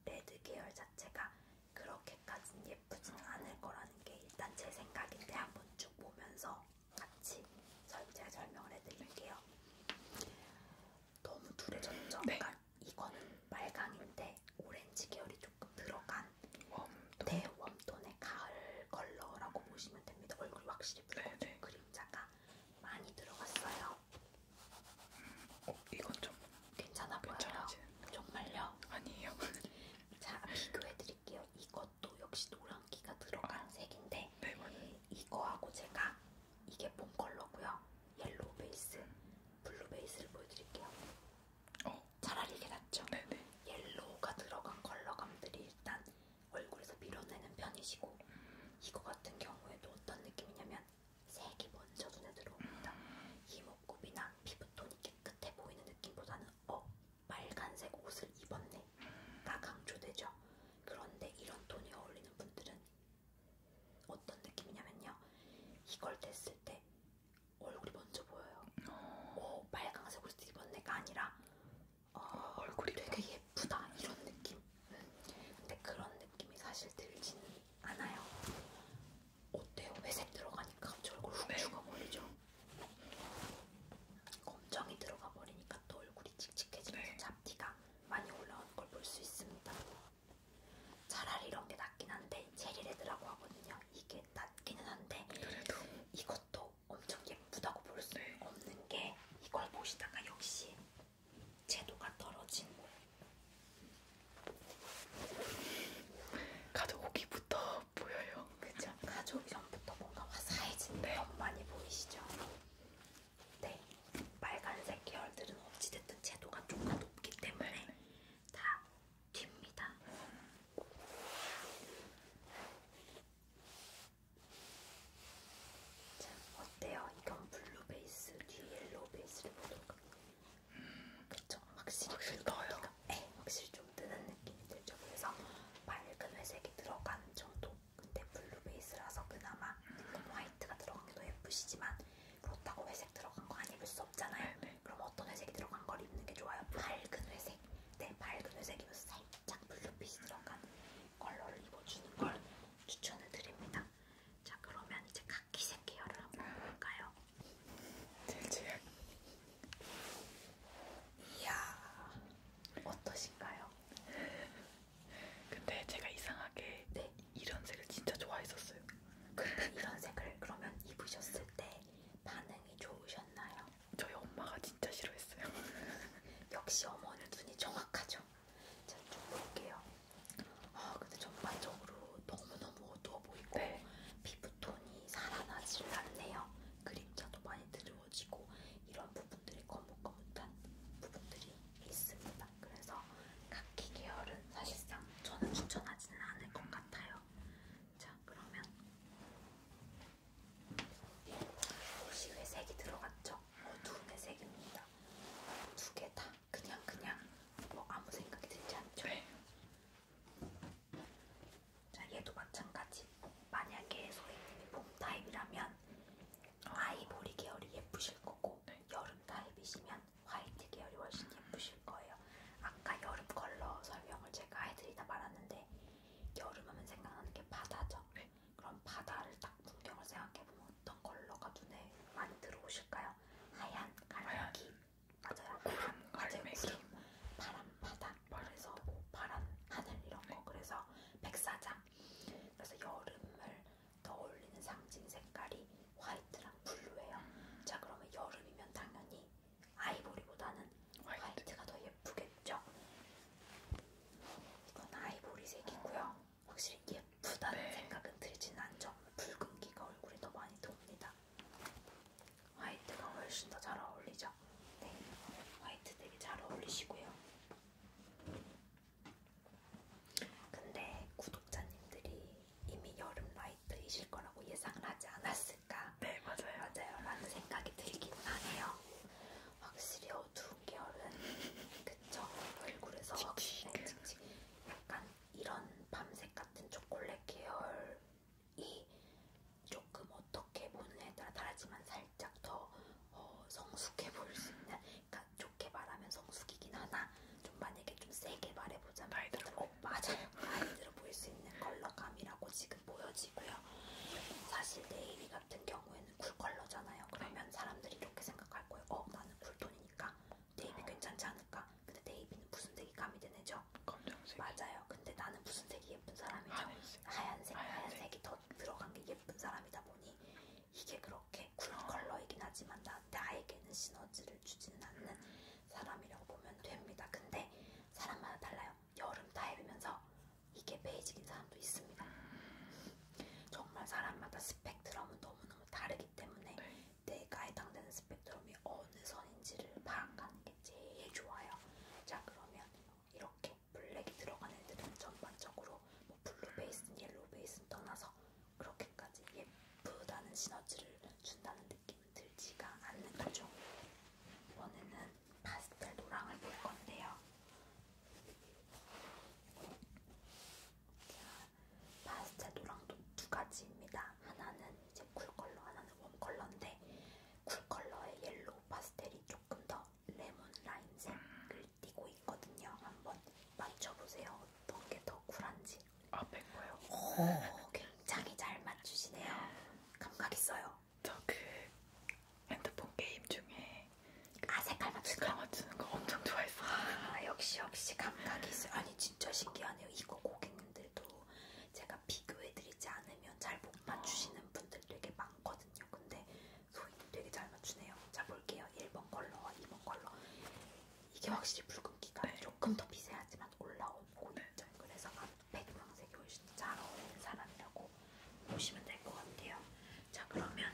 레드 계열 자체가 그렇게까진 예쁘지는 않을 거라는 게 일단 제 생각인데 한번 쭉 보면서 같이 제가 설명을 해드릴게요. 너무 둘해졌죠? 네. 그러니까 이거는 말강인데 오렌지 계열이 조금 들어간 웜톤. 대웜톤의 네, 가을 컬러라고 보시면 됩니다. 얼굴이 확실히 네, 붉고 네, 그림자가 많이 들어갔어요. 음, 어, 이건 좀 괜찮아 보여요? 괜찮아지. 정말요? 아니에요. 자 비교해 드릴게요. 이것도 역시 노란기가 들어간 아, 색인데 네, 이거하고 제가 이게 본 컬러고요. 옐로우 베이스, 음. 블루 베이스를 보여드릴게요. 어. 차라리 이게 낫죠? 네네. 네. 옐로우가 들어간 컬러감들이 일단 얼굴에서 밀어내는 편이시고 음. 이거 같은 경우에도 어떤 느낌이냐면 색이 먼저 눈에 들어옵니다. 음. 이목구비나 피부톤이 깨끗해 보이는 느낌보다는 어 빨간색 옷을 입었네가 강조되죠. 그런데 이런 톤이 어울리는 분들은 어떤 느낌이냐면요. 이걸 댔을 때 얼굴이 먼저 보여요. 오 어, 빨간색 옷을 입었네가 아니라 어, 얼굴이 되게 예쁘다 이런 느낌. 근데 그런 느낌이 사실 들지는 않아요. 어때요? 회색 들어가니까 갑자기 얼굴 훅 네. 죽어버리죠? 검정이 들어가 버리니까 또 얼굴이 칙칙해지면서 네. 잡티가 많이 올라오는 걸 볼 수 있습니다. 차라리 이런 게 낫긴 한데 제리레드라고 하거든요. 이게 낫기는 한데 그래도. 이것도 엄청 예쁘다고 볼수 네. 없는 게 이걸 보시다가 역시 채도가 떨어진 가족이부터 보여요. 그쵸? 가족 전부터 뭔가 화사해진데 네. 많이 보이시죠? 네. 빨간색 계열들은 어찌됐든 채도가 조금 높기 때문에 네. 다 튑니다. 자, 어때요? 이건 블루 베이스, 뒤 옐로우 베이스를 보도록 음, 그렇죠. 확실히, 확실히 떠요. 네, 확실히 좀 뜨는 느낌이 들죠. 그래서 밝은 회색이 들어가는 정도. 근데 블루 베이스라서 그나마 음. 화이트가 들어가기도 예쁘시지만 그렇다고 회색 들어간 거 안 입을 수 없잖아요. 네네. 네. 그럼 어떤 회색이 들어간 걸 입는 게 좋아요? 밝은 회색. 네, 밝은 회색이면 살짝 블루빛이 들어간 컬러를 입어주는 걸 추천을 드립니다. 자, 그러면 이제 카키색 계열을 한번 볼까요? 질질. 이야, 어떠신가요? 근데 제가 이상하게 네. 이런 색을 진짜 좋아했었어요. 근데 이런 색을 그러면 입으셨을 때 반응이 좋으셨나요? 저희 엄마가 진짜 싫어했어요. 역시 어머니 눈이 정확하죠. 자, 좀 볼게요. 아, 근데 전반적으로 너무너무 어두워 보이고 네. 피부톤이 살아나질 않네요. 그림자도 많이 드러워지고 이런 부분들이 거뭇거뭇한 부분들이 있습니다. 그래서 카키 계열은 사실상 저는 추천하지는 않을 것 같아요. 자 그러면 옷이 회색이 들어갔죠? 어두운 회색입니다. 두 개 다 그냥 그냥 뭐 아무 생각이 들지 않죠? 네. 자, 얘도 마찬가지. 만약에 소희님이 봄 타입이라면 아이보리 계열이 예쁘실 거고 네. 여름 타입이시면 화이트 계열이 훨씬 예쁘실 거예요. 아까 여름 컬러 설명을 제가 해드리다 말았는데 여름하면 생각나는 게 바다죠. 네. 그럼 바다를 딱 풍경을 생각해보면 어떤 컬러가 눈에 많이 들어오실까요? 하얀, 가랑기, 맞아요. 구름 갈매기, 바람 바다, 그래서 뭐 바람 하늘 이런 거. 네. 그래서 백사장. 그래서 여름을 떠올리는 상징 색깔이 화이트랑 블루예요. 음. 자 그러면 여름이면 당연히 아이보리보다는 화이트. 화이트가 더 예쁘겠죠. 이건 아이보리색이고요. 확실히 예쁘다는 네. 생각은 들지는 않죠. 붉은기가 얼굴에 더 많이 돕니다. 화이트가 훨씬 더 잘 어울리죠? 네, 화이트 되게 잘 어울리시고요. 근데 구독자님들이 이미 여름 라이트이실 거라고 예상을 하지 않았을까? 네, 맞아요. 맞아요. 라는 생각이 들긴 하네요. 확실히 어두운 계열은, 그쵸? 얼굴에서 칙칙. 네, 칙칙. 약간 이런 밤색 같은 초콜릿 계열 이 조금 어떻게 보는 에 따라 다르지만 살짝 더 어, 성숙해 보일 수 있는 그러니까 좋게 말하면 성숙이긴 하나 좀 만약에 좀 세게 말해보자면 나이 들어 어, 맞아요 나이 들어 보일 수 있는 컬러감이라고 지금 보여지고요 사실 네이비 같은 경우에는 쿨 컬러잖아요 그러면 사람들이 이렇게 생각할 거예요 어 나는 쿨톤이니까 네이비 괜찮지 않을까 근데 데이비는 무슨 색이 가미된 애죠? 검정색. 맞아요. 근데 나는 무슨 색이 예쁜 사람이죠? 하얀색. 하얀색. 하얀색이 더 들어간 게 예쁜 사람이다 보니 이게 그렇게 쿨 어. 컬러이긴 하지만 나, 나에게는 시너지를 주지는 않는 음. 사람이라고 보면 됩니다. 근데 사람마다 달라요. 여름 타입이면서 이게 베이직인 사람도 있습니다. 음. 정말 사람마다 스펙트럼은 너무너무 다르기 때문에 네. 내가 해당되는 스펙트럼이 어느 선인지를 파악하는 게 제일 좋아요. 자 그러면 이렇게 블랙이 들어간 애들은 전반적으로 뭐 블루 베이스는 옐로우 베이스는 떠나서 그렇게까지 예쁘다는 시너지를 준다는 느낌은 들지가 않는 거죠. 이번에는 파스텔 노랑을 볼 건데요. 자, 파스텔 노랑도 두 가지입니다. 하나는 이제 쿨컬러 하나는 웜컬러인데 쿨컬러의 옐로우 파스텔이 조금 더 레몬 라임색을 띠고 있거든요. 한번 맞춰보세요. 어떤 게 더 쿨한지. 아, 백과요? 오, 굉장히 잘 맞추시네요. 감각 있어요. 저 그 핸드폰 게임 중에 그 아, 색깔 맞추는 색깔 거? 맞추는 거 엄청 좋아했어요. 아, 역시 역시 감각이 있어요. 아니, 진짜 신기하네요. 이거 고객님들도 제가 비교해드리지 않으면 잘 못 맞추시는 분들 되게 많거든요. 근데 소희님 되게 잘 맞추네요. 자 볼게요. 1번 컬러와 2번 컬러. 이게 확실히 붉은기가 네. 조금 더 미세하지만 올라온 보이죠. 그래서 아, 백광색이 훨씬 잘 어울리는 사람이라고 보시면 될 것 같아요. 자 그러면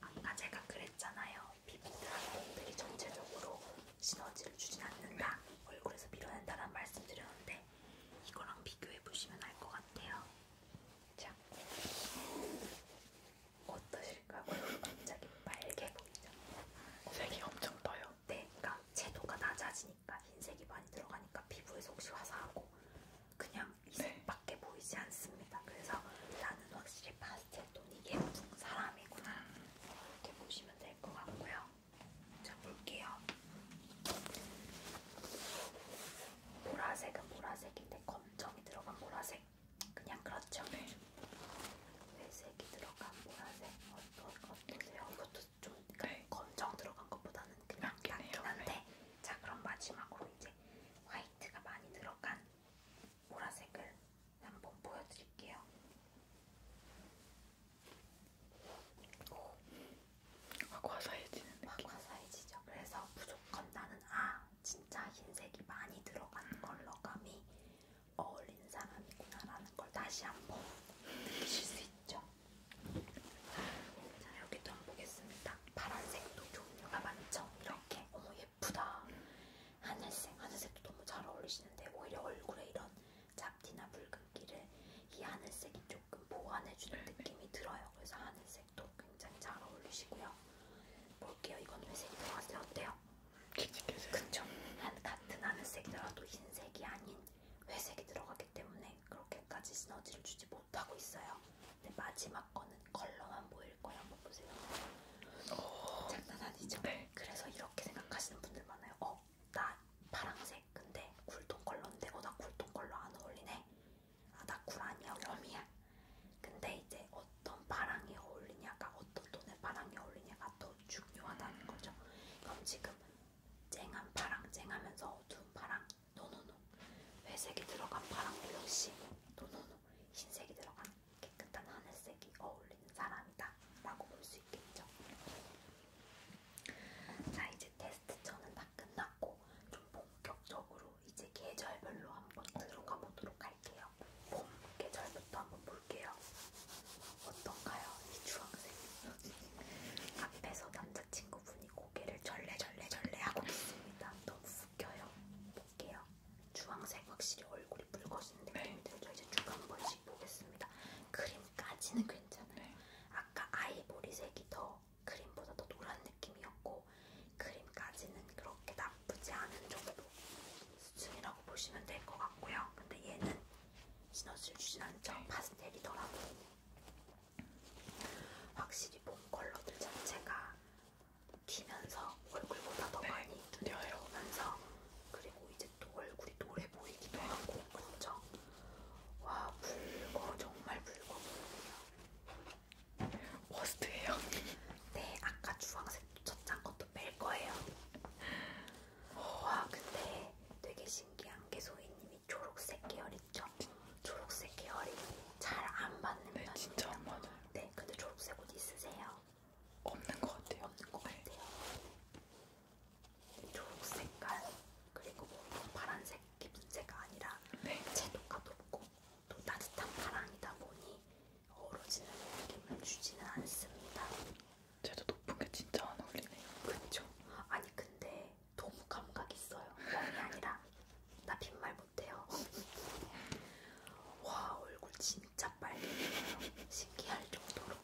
아까 제가 그랬잖아요. 비비드한 분들이 전체적으로 시너지를 주진 않는다. 얼굴에서 밀어낸다라는 말씀드렸는데 이거랑 비교해 보시면 알 것 같아요. 자, 어떠실까요? 갑자기 빨개 보이죠? 색이 엄청 떠요. 네, 그러니까 채도가 낮아지니까 흰색이 많이 들어가니까 피부에서 혹시 화사하고 그냥 이색밖에 네. 보이지 않습니다. 그래서 나는 확실히 파스텔 톤이 예쁜 사람이구나 이렇게 보시면 될 것 같고요. 자, 볼게요. 보라색은 보라색인데 검정이 들어간 보라색. 그냥 그렇죠. 네. 회색이 들어간 보라색. 어떠, 어떠세요? 이것도 좀 네. 검정 들어간 것보다는 그냥 낫긴 한데. 네. 자, 그럼 마지막으로 이제 화이트가 많이 들어간 보라색을 한번 보여드릴게요. 아, 과사해지는 아, 느낌. 과사해지죠. 그래서 무조건 나는 아 진짜 흰색이 많이 들어간 컬러감이 어울리는 사람이구나라는 걸 다시 한번 느끼실 수 있죠. 자 여기도 한번 보겠습니다. 파란색도 종류가 많죠. 이렇게 어머 예쁘다. 하늘색 하늘색도 너무 잘 어울리시는데 오히려 얼굴에 이런 잡티나 붉은기를 이 하늘색이 조금 보완해주는 느낌이 들어요. 그래서 하늘색도 굉장히 잘 어울리시고요. 볼게요. 이건 회색이 들어갔어요. 어때요? 그쵸? 한 같은 하늘색이더라도 흰색이 아닌 회색이 들어가기 때문에 그렇게까지 시너지를 주지 못하고 있어요. 근데 마지막 거는 컬러만 보일 거예요. 한번 보세요. 어. 장난 아니죠? 네. 그래서 이렇게 생각하시는 분들 많아요. 어, 나 파랑색 근데 굴톤 컬러인데 어 나 굴톤 컬러 안 어울리네 아나굴 아니야 웜이야 근데 이제 어떤 파랑이 어울리냐가 어떤 톤의 파랑이 어울리냐가 더 중요하다는 거죠 그럼 지금 쨍한 파랑 쨍하면서 어두운 파랑 노노노 회색이 들어간 파랑 멜로시 노노노 흰색이 들어간 깨끗한 하늘색이 어울리죠 사람이다 라고 볼 수 있겠죠. 자 이제 테스트 저는 다 끝났고 좀 본격적으로 이제 계절별로 한번 들어가 보도록 할게요. 봄 계절부터 한번 볼게요. 어떤가요? 이 주황색. 앞에서 남자친구분이 고개를 절레절레절레 하고 있습니다. 너무 웃겨요. 볼게요. 주황색 확실히 얼굴이 붉어지는 느낌이 들죠. 이제 주간 보여 조금씩 보겠습니다. 크림까지는 괜찮아요. 네. 아까 아이보리색이 더 크림보다 더 노란 느낌이었고 크림까지는 그렇게 나쁘지 않은 정도 수준이라고 보시면 될 것 같고요. 근데 얘는 시너지를 주진 않죠. 네. 파스텔이더라고. 확실히 봄 컬러들 자체가 튀면서 얼굴보다 더 네. 많이 눈에 들어오면서 그리고 이제 또 얼굴이 노래 보이기도 하고 그렇죠? 와 붉어 정말 붉어 보이네요. 워스트예요? 네 아까 주황색 첫 장 것도 뺄 거예요. 와 근데 되게 신기한 게 소희님이 초록색 계열 있죠? 초록색 계열이 잘안 맞는 네, 편이에요. 진짜 안 맞아요. 네 근데 초록색 옷 있으세요? 없는 것 같아요. 없는 것 같아요. 네. 초록색깔 그리고 뭐 파란색 기분제가 아니라 네. 채도가 높고 또 따뜻한 파랑이다 보니 어우러지는 느낌을 주지는 않습니다. 채도 높은 게 진짜 안 어울리네요. 그렇죠. 아니 근데 너무 감각 있어요. 멍이 아니라 나 빈말 못해요. 와 얼굴 진짜 빨개요. 신기할 정도로.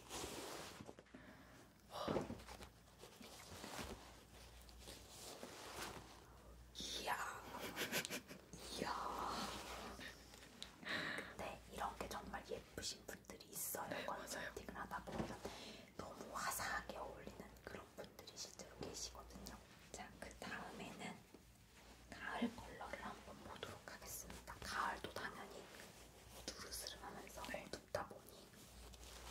이야. 이야. 근데 이런 게 정말 예쁘신 분들이 있어요. 네, 컨설팅을 하다 보면 너무 화사하게 어울리는 그런 분들이 실제로 계시거든요. 자, 그 다음에는 가을 컬러를 한번 보도록 하겠습니다. 가을도 당연히 두루스름하면서 네. 어둡다 보니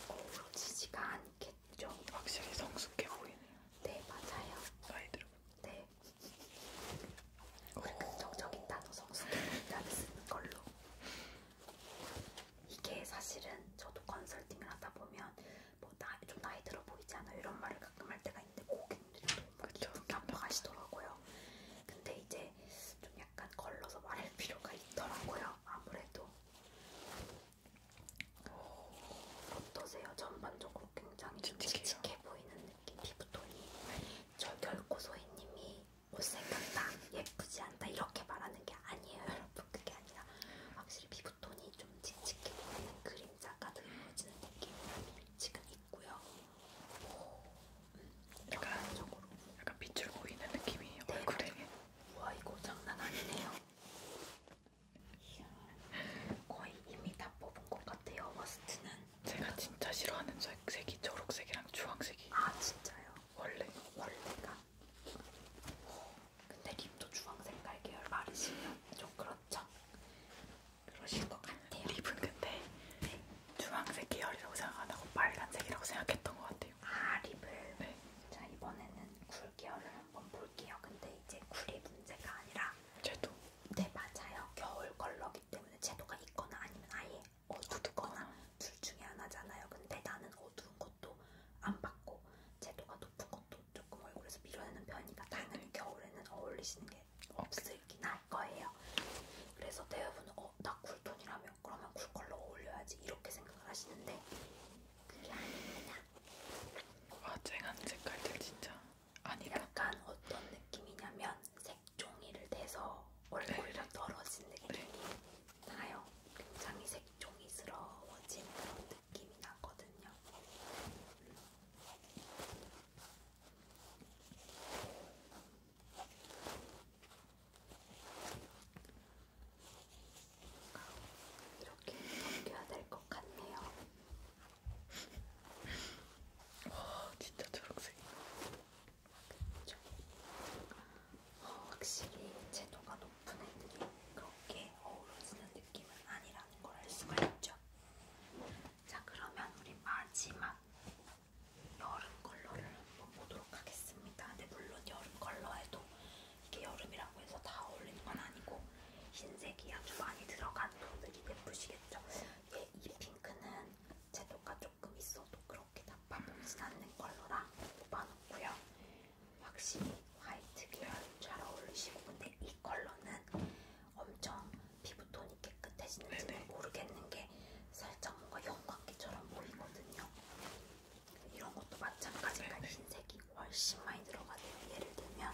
어우러지지가 않겠죠. 확실히 성숙해 보이네요. 네 맞아요. 나이 들어. 네. 긍정적인 단어 성숙해 보인다는 쓰는 걸로. 이게 사실은 저도 컨설팅을 하다 보면 뭐 나이 좀 나이 들어 보이지 않아 이런 말을 가끔 할 때가 있는데 고객님들이 너무 기분 나빠하시더라고요. 근데 이제 좀 약간 걸러서 말할 필요가 있더라고요. 아무래도 어떠세요? 전반적으로 굉장히 좀 칙칙해 보이는 느낌 피부톤이 저 결코 소희님이 못생겼다, 뭐 예쁘지 않다 이렇게 말하는 게 아니에요 여러분 그게 아니라 확실히 피부톤이 좀 칙칙해 보이는 그림자가 들어오지는 느낌이 지금 있고요 오. 약간 약간 빛을 보이는 느낌이 얼굴에. 네, 그렇죠. 와 이거 장난 아니네요. 이야, 거의 이미 다 뽑은 것 같아요. 머스트는. 제가 진짜 싫어하는 색이 초록색이랑 주황색이. 아 진짜요? 원래. 원래가. 근데 립도 주황색깔 계열 마르시면 좀 그렇죠. 그러실 것 같아요. 립은 근데 네. 주황색 계열이라고 생각 안 하고 빨간색이라고 생각했던 것 같아요. 아 립을. 네. 자 이번에는 굴 계열을 한번 볼게요. 근데 이제 굴이 문제가 아니라 채도. 네 맞아요. 겨울 컬러기 때문에 채도가 있거나 아니면 아예 어둡거나 어. 둘 중에 하나잖아요. 근데 나는 어두운 것도 안 받고 채도가 높은 것도 조금 얼굴에서 밀어내는 편이니까 당연히 겨울에는 어울리시는 게 없을긴 할 거예요. 그래서 대부분 어, 나 쿨톤이라면 그러면 쿨컬러 어울려야지 이렇게 생각을 하시는데 그게 아닙니다. 와 아, 쨍한 색깔들 진짜 아니다. 약간 어떤 느낌이냐면 색종이를 대서 얼굴이랑 네. 떨어진 느낌이 네. 나요. 굉장히 색종이스러워진 그런 느낌이 나거든요. 이렇게 넘겨야 될 것 같네요. 와 진짜 초록색. 그렇죠. 어, 확실히 채도가 높은 애들이 그렇게 어우러지는 느낌은 아니라는 걸 알 수가 있죠. 자 그러면 우리 마지막 여름 컬러를 한번 보도록 하겠습니다. 근데 물론 여름 컬러에도 이게 여름이라고 해서 다 어울리는 건 아니고 흰색이 아주 많이 들어간 톤들이 예쁘시겠죠? 예, 이 핑크는 제도가 조금 있어도 그렇게 나빠보진 않는 컬러라 뽑아놓고요. 확실히 화이트 계열 잘 어울리시고 근데 이 컬러는 엄청 피부톤이 깨끗해지는지는 모르겠는 게 살짝 뭔가 연광기처럼 보이거든요. 이런 것도 마찬가지로 네. 흰색이 훨씬 많이 들어가네요. 예를 들면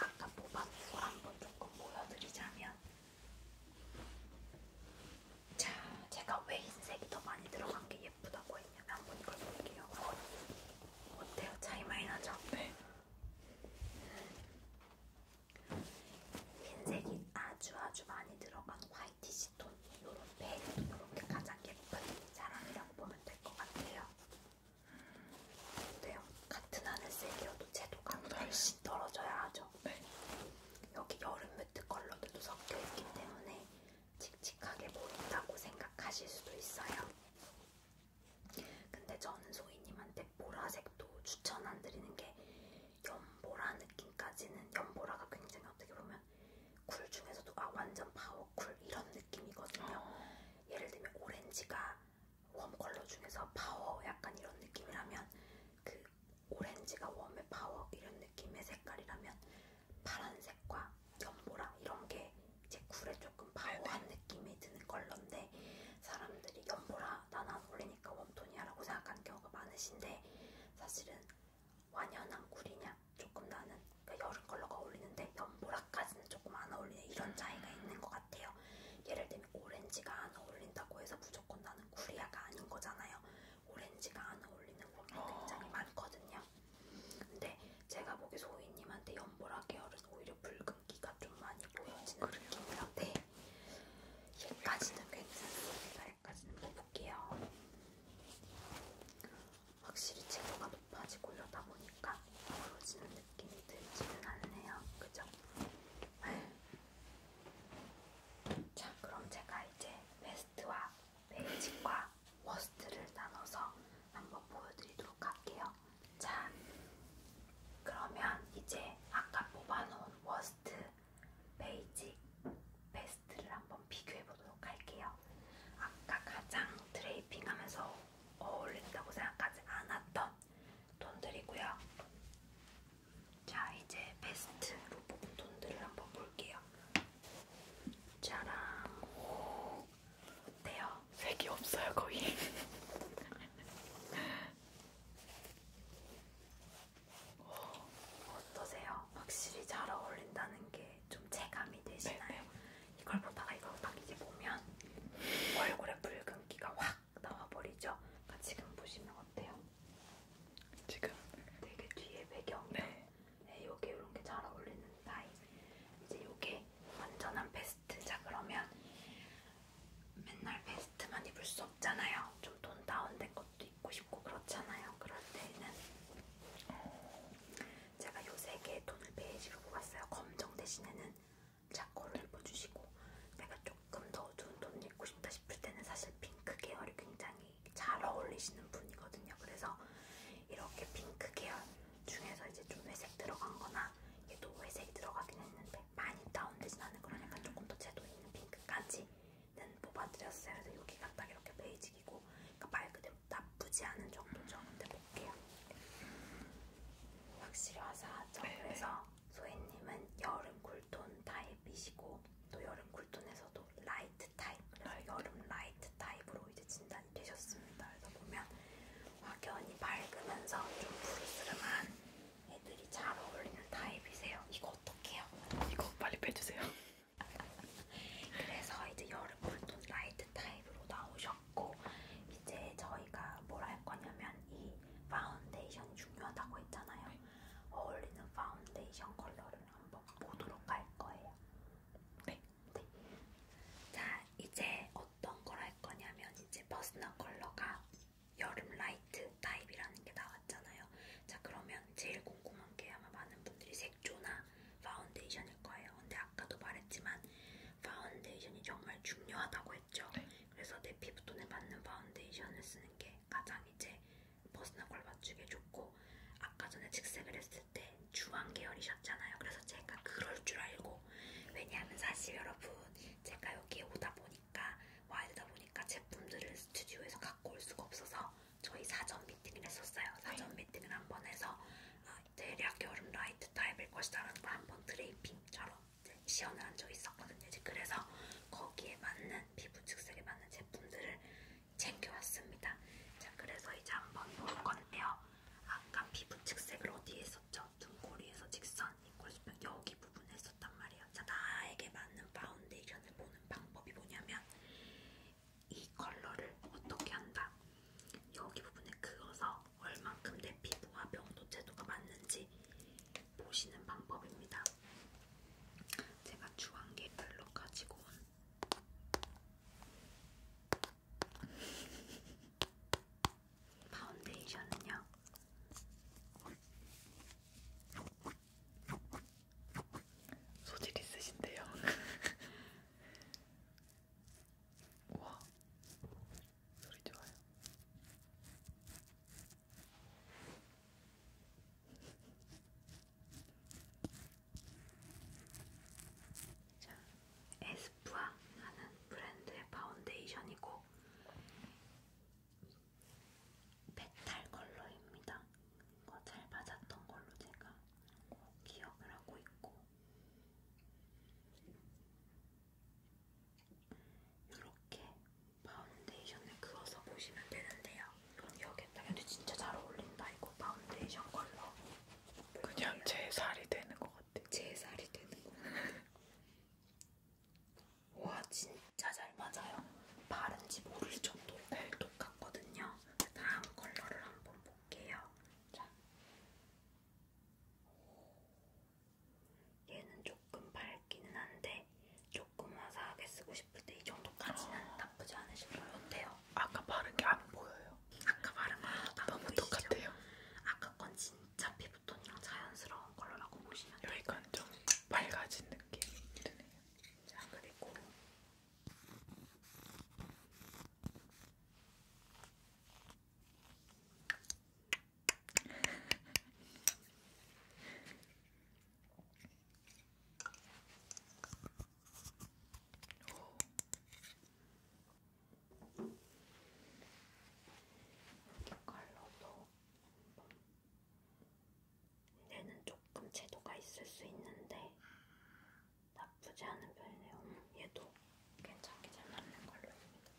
아까 뽑았고 한번 조금 보여드리자면 자, 제가 왜 흰색이 더 많이 들어간 게 예쁘다고 했냐면 한번 이걸 볼게요. 어때요? 차이 많이 나죠? 네. 흰색이 아주 아주 많이 들어간 화이트시 톤 요런 베이지 요렇게 가장 예쁜 사람이라고 보면 될 것 같아요 어때요? 같은 하늘색이어도 채도감이 네. 훨씬 떨어져야 하죠 네. 여기 여름 매트 컬러들도 섞여있기 때문에 칙칙하게 보인다고 생각하실 수도 있어요 근데 저는 소희님한테 보라색도 추천 안 드리는 게 연보라 느낌까지는 연보라가 굉장히 어떻게 보면 쿨 중에서도 아 완전 파워쿨 이런 느낌이거든요. 어. 예를 들면 오렌지가 웜 컬러 중에서 파워 약간 이런 느낌이라면 그 오렌지가 웜의 파워 이런 느낌의 색깔이라면 파란색과 연보라 이런 게제 쿨에 조금 아, 네. 파워한 느낌이 드는 컬러인데 사람들이 연보라 아, 나는 안 어울리니까 웜톤이야 라고 생각하는 경우가 많으신데 사실은 완연한 꿀이냐 조금 나는 그러니까 여름 컬러가 어울리는데 연보라까지는 조금 안 어울리는 이런 차이가 있는 것 같아요. 예를 들면 오렌지가 안 어울린다고 해서 무조건 나는 쿨이야가 아닌 거잖아요. 오렌지가 안 어울리는 경우가 굉장히 아. 많거든요. 근데 제가 보기 소희님한테 연보라 계열은 오히려 붉은기가 좀 많이 보여지는 어, 느낌이라 네. 얘까지는 괜찮습니다. 살까지는 못 볼게요. 확실히 채도가 높아지고 이러다 보니까 멀어지는 느낌이 들지는 않네요. 그죠? 자, 그럼 제가 이제 베스트와 베이직과 워스트를 나눠서 한번 보여드리도록 할게요. 자, 그러면 이제 아까 뽑아놓은 워스트 베이직 베스트를 한번 비교해 보도록 할게요. 아까 가장 드레이핑하면서 어울린다고 생각하지 않았던 돈들이고요. 자, 이제 베스트로 뽑은 돈들을 한번 볼게요. 짜랑. 오, 어때요? 색이 없어요, 거의. 어, 어떠세요? 확실히 잘 어울린다는 게 좀 체감이 되시나요? 네, 네. 이걸 보다가 이걸 딱 이제 보면 얼굴에 붉은기가 확 나와버리죠? 그러니까 지금 보시면 어때요? 지금? 되게 뒤에 배경이요? 네. 네, 요게 이런 게 잘 어울리는 나이 이제 요게 완전한 베스트자 그러면 맨날 베스트 베스트만 입을 수 없잖아요. 좀 돈 다운된 것도 입고 싶고 그렇잖아요. 그럴 때는 제가 요세 개의 톤을 베이지로 뽑았어요. 검정 대신에는 자코를 입어주시고 내가 조금 더 어두운 톤을 입고 싶다 싶을 때는 사실 핑크 계열이 굉장히 잘 어울리시는 분이거든요. 그래서 이렇게 핑크 계열 중에서 이제 좀 회색 들어간 거나 얘도 회색이 들어가긴 했는데 많이 다운되진 않은 거라니까 조금 더 채도 있는 핑크까지 는 뽑아드렸어요. 그래서 여기가 딱 이렇게 베이직이고, 그러니까 말 그대로 나쁘지 않은 정도죠. 근데 볼게요. 확실히 화사하죠. 네네. 그래서 소혜님은 여름 쿨톤 타입이시고, 또 여름 쿨톤에서도 라이트 타입, 그래서 라이트. 여름 라이트 타입으로 이제 진단이 되셨습니다. 그래서 보면 확연히 밝으면서 좀 부르스름한 애들이 잘 어울리는 타입이세요. 이거 볼게요. 이거 빨리 빼주세요. 그래서 이제 여름은 좀 라이트 타입으로 나오셨고 이제 저희가 뭘할 거냐면 이 파운데이션 중요하다고 했잖아요. 네. 어울리는 파운데이션 컬러를 한번 보도록 할 거예요. 네. 네. 자 이제 어떤 걸할 거냐면 이제 버스널 컬러가 여름 라이트 그 타입이라는 게 나왔잖아요. 자 그러면 제일 궁금한 게 아마 많은 분들이 색조나 파운데이션일 거예요. 근데 아까도 말했지만 파운데이션이 정말 중요하다고 했죠. 네. 그래서 내 피부톤에 맞는 파운데이션을 쓰는 게 가장 이제 버스나 걸 맞추기 좋고 아까 전에 직색을 했을 때 주황 계열이셨잖아요. 그래서 제가 그럴 줄 알고 왜냐하면 사실 여러분 제가 여기에 오다 보니까 되니까 와야 되다 보니까 제품들을 스튜디오에서 갖고 올 수가 없어서 저희 사전 미팅을 했었어요. 네. 사전 네. 미팅을 한 번 해서 어, 대략 여름 라이트 타입일 것이다라는 걸 한번 드레이핑처럼 이제 시연을 한 적이 있었거든요. 이제 그래서 거기에 맞는 피부 특색에 맞는 제품들을 챙겨왔습니다. 자, 그래서 이제 한번 볼 건데요. 아까 피부 측색을 어디에 썼죠? 등골이에서 직선, 입꼬리 수평 여기 부분에 있었단 말이에요. 자, 나에게 맞는 파운데이션을 보는 방법이 뭐냐면 이 컬러를 어떻게 한다? 여기 부분에 그어서 얼만큼 내 피부와 명도 채도가 맞는지 보시는 방법입니다. 제가 주황계 별로 가지고 온 파운데이션은요. 소질 있으신데요. 우와, 소리 좋아요. 자, 에스쁘아 하는 브랜드의 파운데이션이고 메탈 컬러입니다. 잘 맞았던 걸로 제가 기억을 하고 있고 이렇게 파운데이션을 그어서 보시면 되는데요. 여기에다 근데 진짜 잘 어울린다 이거 파운데이션 컬러. 그냥 제 살이 되는 것 같아요. 제 살이 되는 것 같아요. 와 진짜 잘 맞아요. 바른지 모를 정도로 똑같거든요. 다음 컬러를 한번 볼게요. 자, 얘는 조금 밝기는 한데 조금 화사하게 쓰고 싶을 때 이 정도까지는 아... 나쁘지 않으실 것 같아요. 아까 바른 게 안 보여요. 아까 바른 거랑 너무 보이시죠? 똑같아요. 아까 건 진짜 피부톤이랑 자연스러운 컬러라고 보시면 돼요. 여기가 좀 맑아진 느낌이 드네요. 자, 그리고 어, 이렇게 칼로도 한번 얘는 조금 채도가 있을 수 있는데 나쁘지 않은 편이네요. 음, 얘도 괜찮게 잘 맞는 걸로입니다.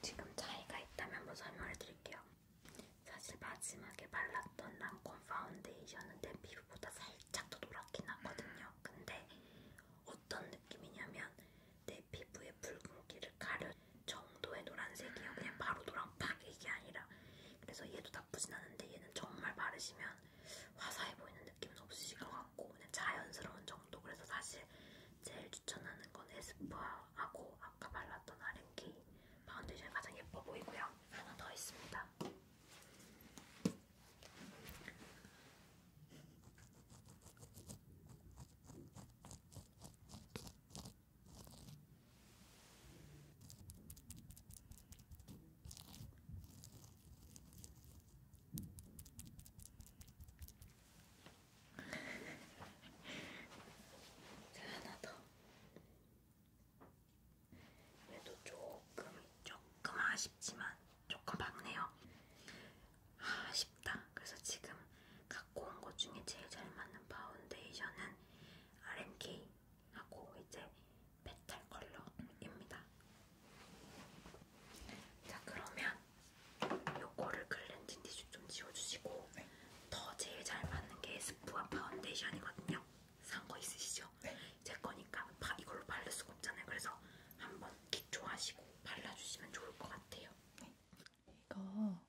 지금 차이가 있다면 한번 설명해 드릴게요. 사실 마지막에 발랐던 랑콤 파운데이션은 내 피부보다 살짝 더 노랗긴 하거든요. 근데 어떤 느낌이냐면 내 피부의 붉은기를 가른 정도의 노란색이에요. 그냥 바로 노랑 팍 이게 아니라. 그래서 얘도 나쁘진 않은데 얘는 정말 바르시면 화사해 보이는 느낌은 없으실 것 같고 그냥 자연스러운 정도. 그래서 사실 제일 추천하는 건 에스쁘아하고 아까 발랐던 아랭키 파운데이션이 가장 예뻐 보이고요. 하나 더 있습니다. 자, 하나 더. 그래도 조금, 조금 아쉽지만 조금 박네요. 아쉽다. 그래서 지금 갖고 온 것 중에 제일 잘 맞는 파운데이션은 RMK하고 이제 메탈 컬러입니다. 자, 그러면 요거를 클렌징 티슈 좀 지워주시고 네. 더 제일 잘 맞는 게 스프와 파운데이션이거든요. 산 거 있으시죠? 네. 제 거니까 바, 이걸로 바를 수가 없잖아요. 그래서 한번 기초하시고 발라주시면 좋을 것 같아요. 네. 이거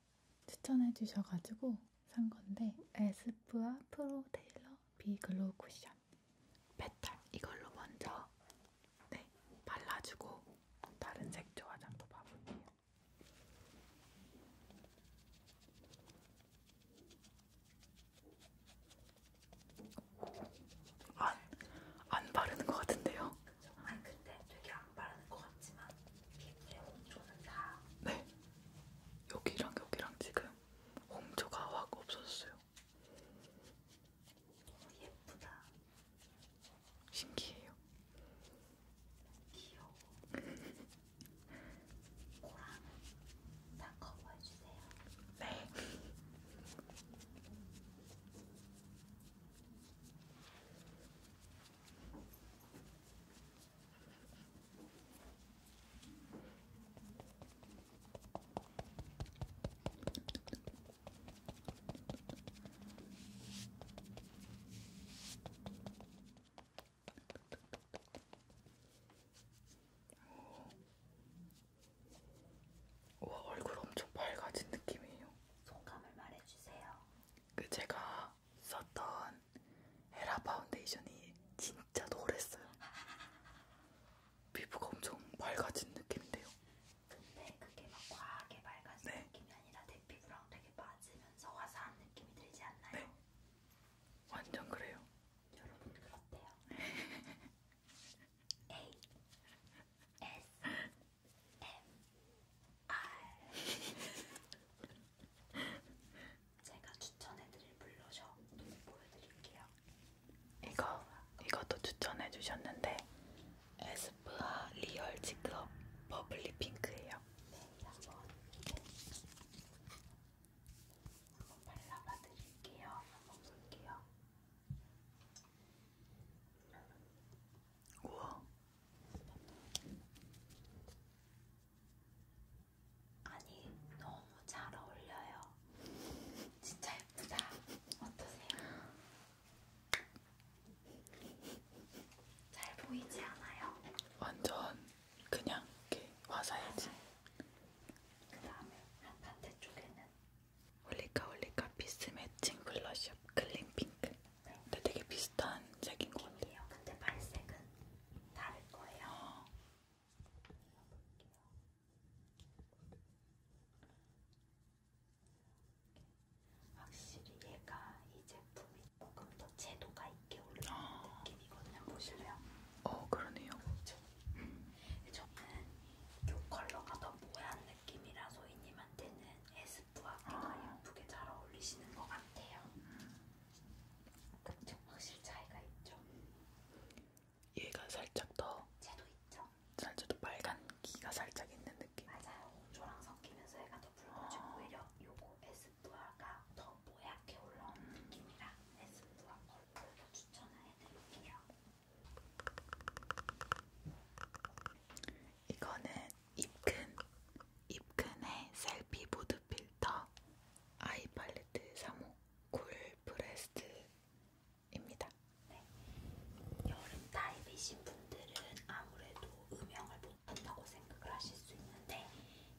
추천해 주셔가지고 산 건데 에스쁘아 프로 테일러 비 글로우 쿠션 페탈 이걸로 먼저 네 발라주고 다른 색조 화장도 봐볼게요. 안, 안 바르는 것 같은데요? 그쵸? 아니 근데 되게 안 바르는 것 같지만 피부에 홍조는 다. 네. 여기랑 여기랑 지금 홍조가 확 없어졌어요. 너무 어, 예쁘다. 신기해요. 귀여워. 고랑은 다 커버해주세요. 네. 와 얼굴 엄청 밝아진 느낌이에요. 소감을 말해주세요. 그 제가 썼던 헤라 파운데이션이 진짜 노랬어요. 피부가 엄청 맑아진 느낌인데요. 근데 그게 막 과하게 맑아진 네. 느낌이 아니라 내 피부랑 되게 맞으면서 화사한 느낌이 들지 않나요? 네. 완전 그래요. 여러분 그렇대요. A S 제가 추천해드릴 블러셔 눈에 보여드릴게요. 이거 이것도 추천해주셨는데 에스쁘아 리얼 지크업 버블리 핑크예요. 네, 한번 한번 발라봐 드릴게요. 한번 볼게요. 우와, 아니 너무 잘 어울려요. 진짜 예쁘다. 어떠세요? 잘 보이지 않아요? 완전 그냥 이렇게 와사야지. 그 다음에 반대쪽에는 올리카 올리카 피스 매칭 블러쉬업 클린 핑크. 근데 되게 비슷한 색인 것 같아요. 근데 발색은 다를 거예요. 어. 확실히 얘가 이 제품이 조금 더 채도가 있게 올라오는 어. 아. 느낌이거든요. 보실래요? 어, 그러네요. 그렇죠. 음. 저는 이 컬러가 더 모한 느낌이라 소희님한테는 S 무화과가 아. 예쁘게 잘 어울리시는 것 같아요. 그쵸? 확실히 차이가 있죠. 얘가 살짝 더 채도 있죠. 살짝 더 빨간 기가 살짝 있는 느낌. 맞아요. 홍조랑 섞이면서 얘가 더 붉어지고 아. 오히려 요거 에스쁘아가 더 모약해 올라온 음. 느낌이라 에스쁘아 컬러를 더 추천을 해드릴게요. 이거는 입큰 입큰의 셀피 무드 필터 아이 팔레트 3호 쿨프레스트입니다. 네. 여름 타입이신 분들은 아무래도 음영을 못한다고 생각을 하실 수 있는데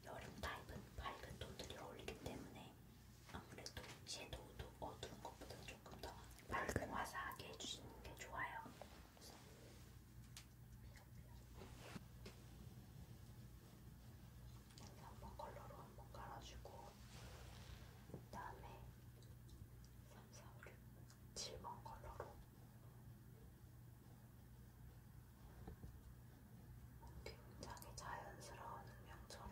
여름 타입은 밝은 톤들이 어울리기 때문에 아무래도 섀도우도 어두운 것보다 조금 더 밝은 화사하게 해주시는 게 좋아요. 여기 한번 컬러로 한 번 깔아주고 그 다음에 3, 4, 5, 6, 7번 컬러로 굉장히 자연스러운 음영처럼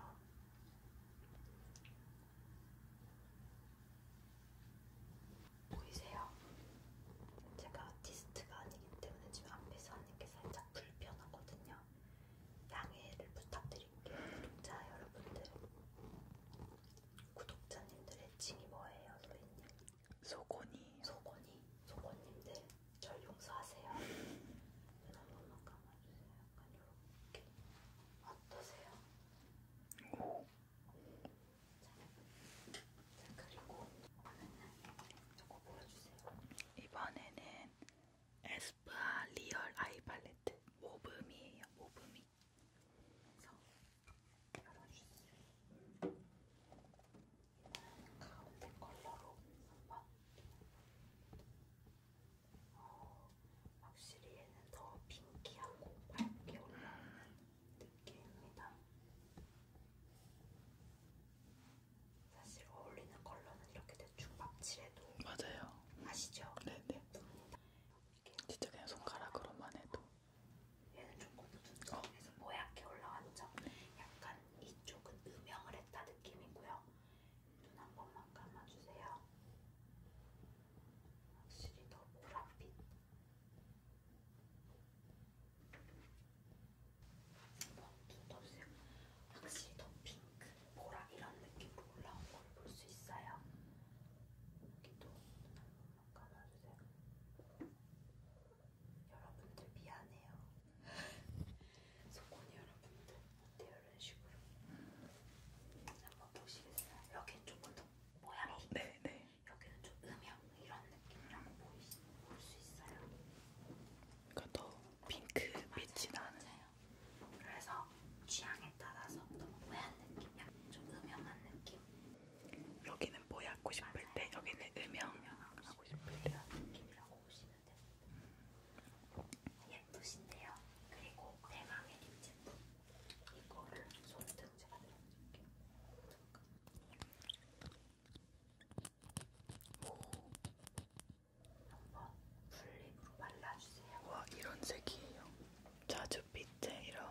보이세요? 제가 아티스트가 아니기 때문에 지금 앞에서 하는 게 살짝 불편하거든요. 양해를 부탁드릴게요, 구독자 여러분들. 구독자님들 애칭이 뭐예요, 로이님? 소곤이. 소곤이. 소곤님들 절 용서하세요. 눈 한번만 감아주세요. 약간 이렇게. 어떠세요? 오. 자, 그리고 이번에는 이거 보여주세요. 이번에는 에스쁘아 리얼 아이 팔레트 모브미예요. 모브미. 그래서 열어주세요. 이번에는 가운데 컬러로 한번. 어, 확실히 얘는 더 핑키하고 밝게 올라오는 느낌입니다. 사실 어울리는 컬러는 이렇게 대충 맙칠해도 맞아요. 아시죠? 네네. 예쁩니다. 진짜 그냥 손가락으로만 해도 얘는 조금 눈썹에서 어. 모약해 올라간 점 약간 이쪽은 음영을 했다 느낌이고요. 눈한 번만 감아주세요. 확실히 더 보랏빛 눈썹이 확실히 더 핑크, 보라 이런 느낌으로 올라온 걸 볼 수 있어요. 여기도 눈한번 감아주세요. 여러분들 미안해요. 소곤이 여러분들 어때요? 이런 식으로 한번 보시겠어요? 여긴 조금 더 모양이 어, 네, 네. 여기는 좀 음영 이런 느낌이라고 볼수 있어요. 그러니까 더 핑크 빛이 나는. 그래서 취향에 따라서 너무 모양 느낌이야. 좀 음영한 느낌. 여기는 모양고 뭐 싶을 맞아요. 때, 여기는 음영. 음영하고 싶을 때. 이런 느낌이라고 보시면 됩니다. 예쁘신데요. 그리고 대망의 립 제품. 이거를 손등 제가 들어줄게요. 한번 풀립으로 발라주세요. 와 이런 색이에요. 자주 빛에 이런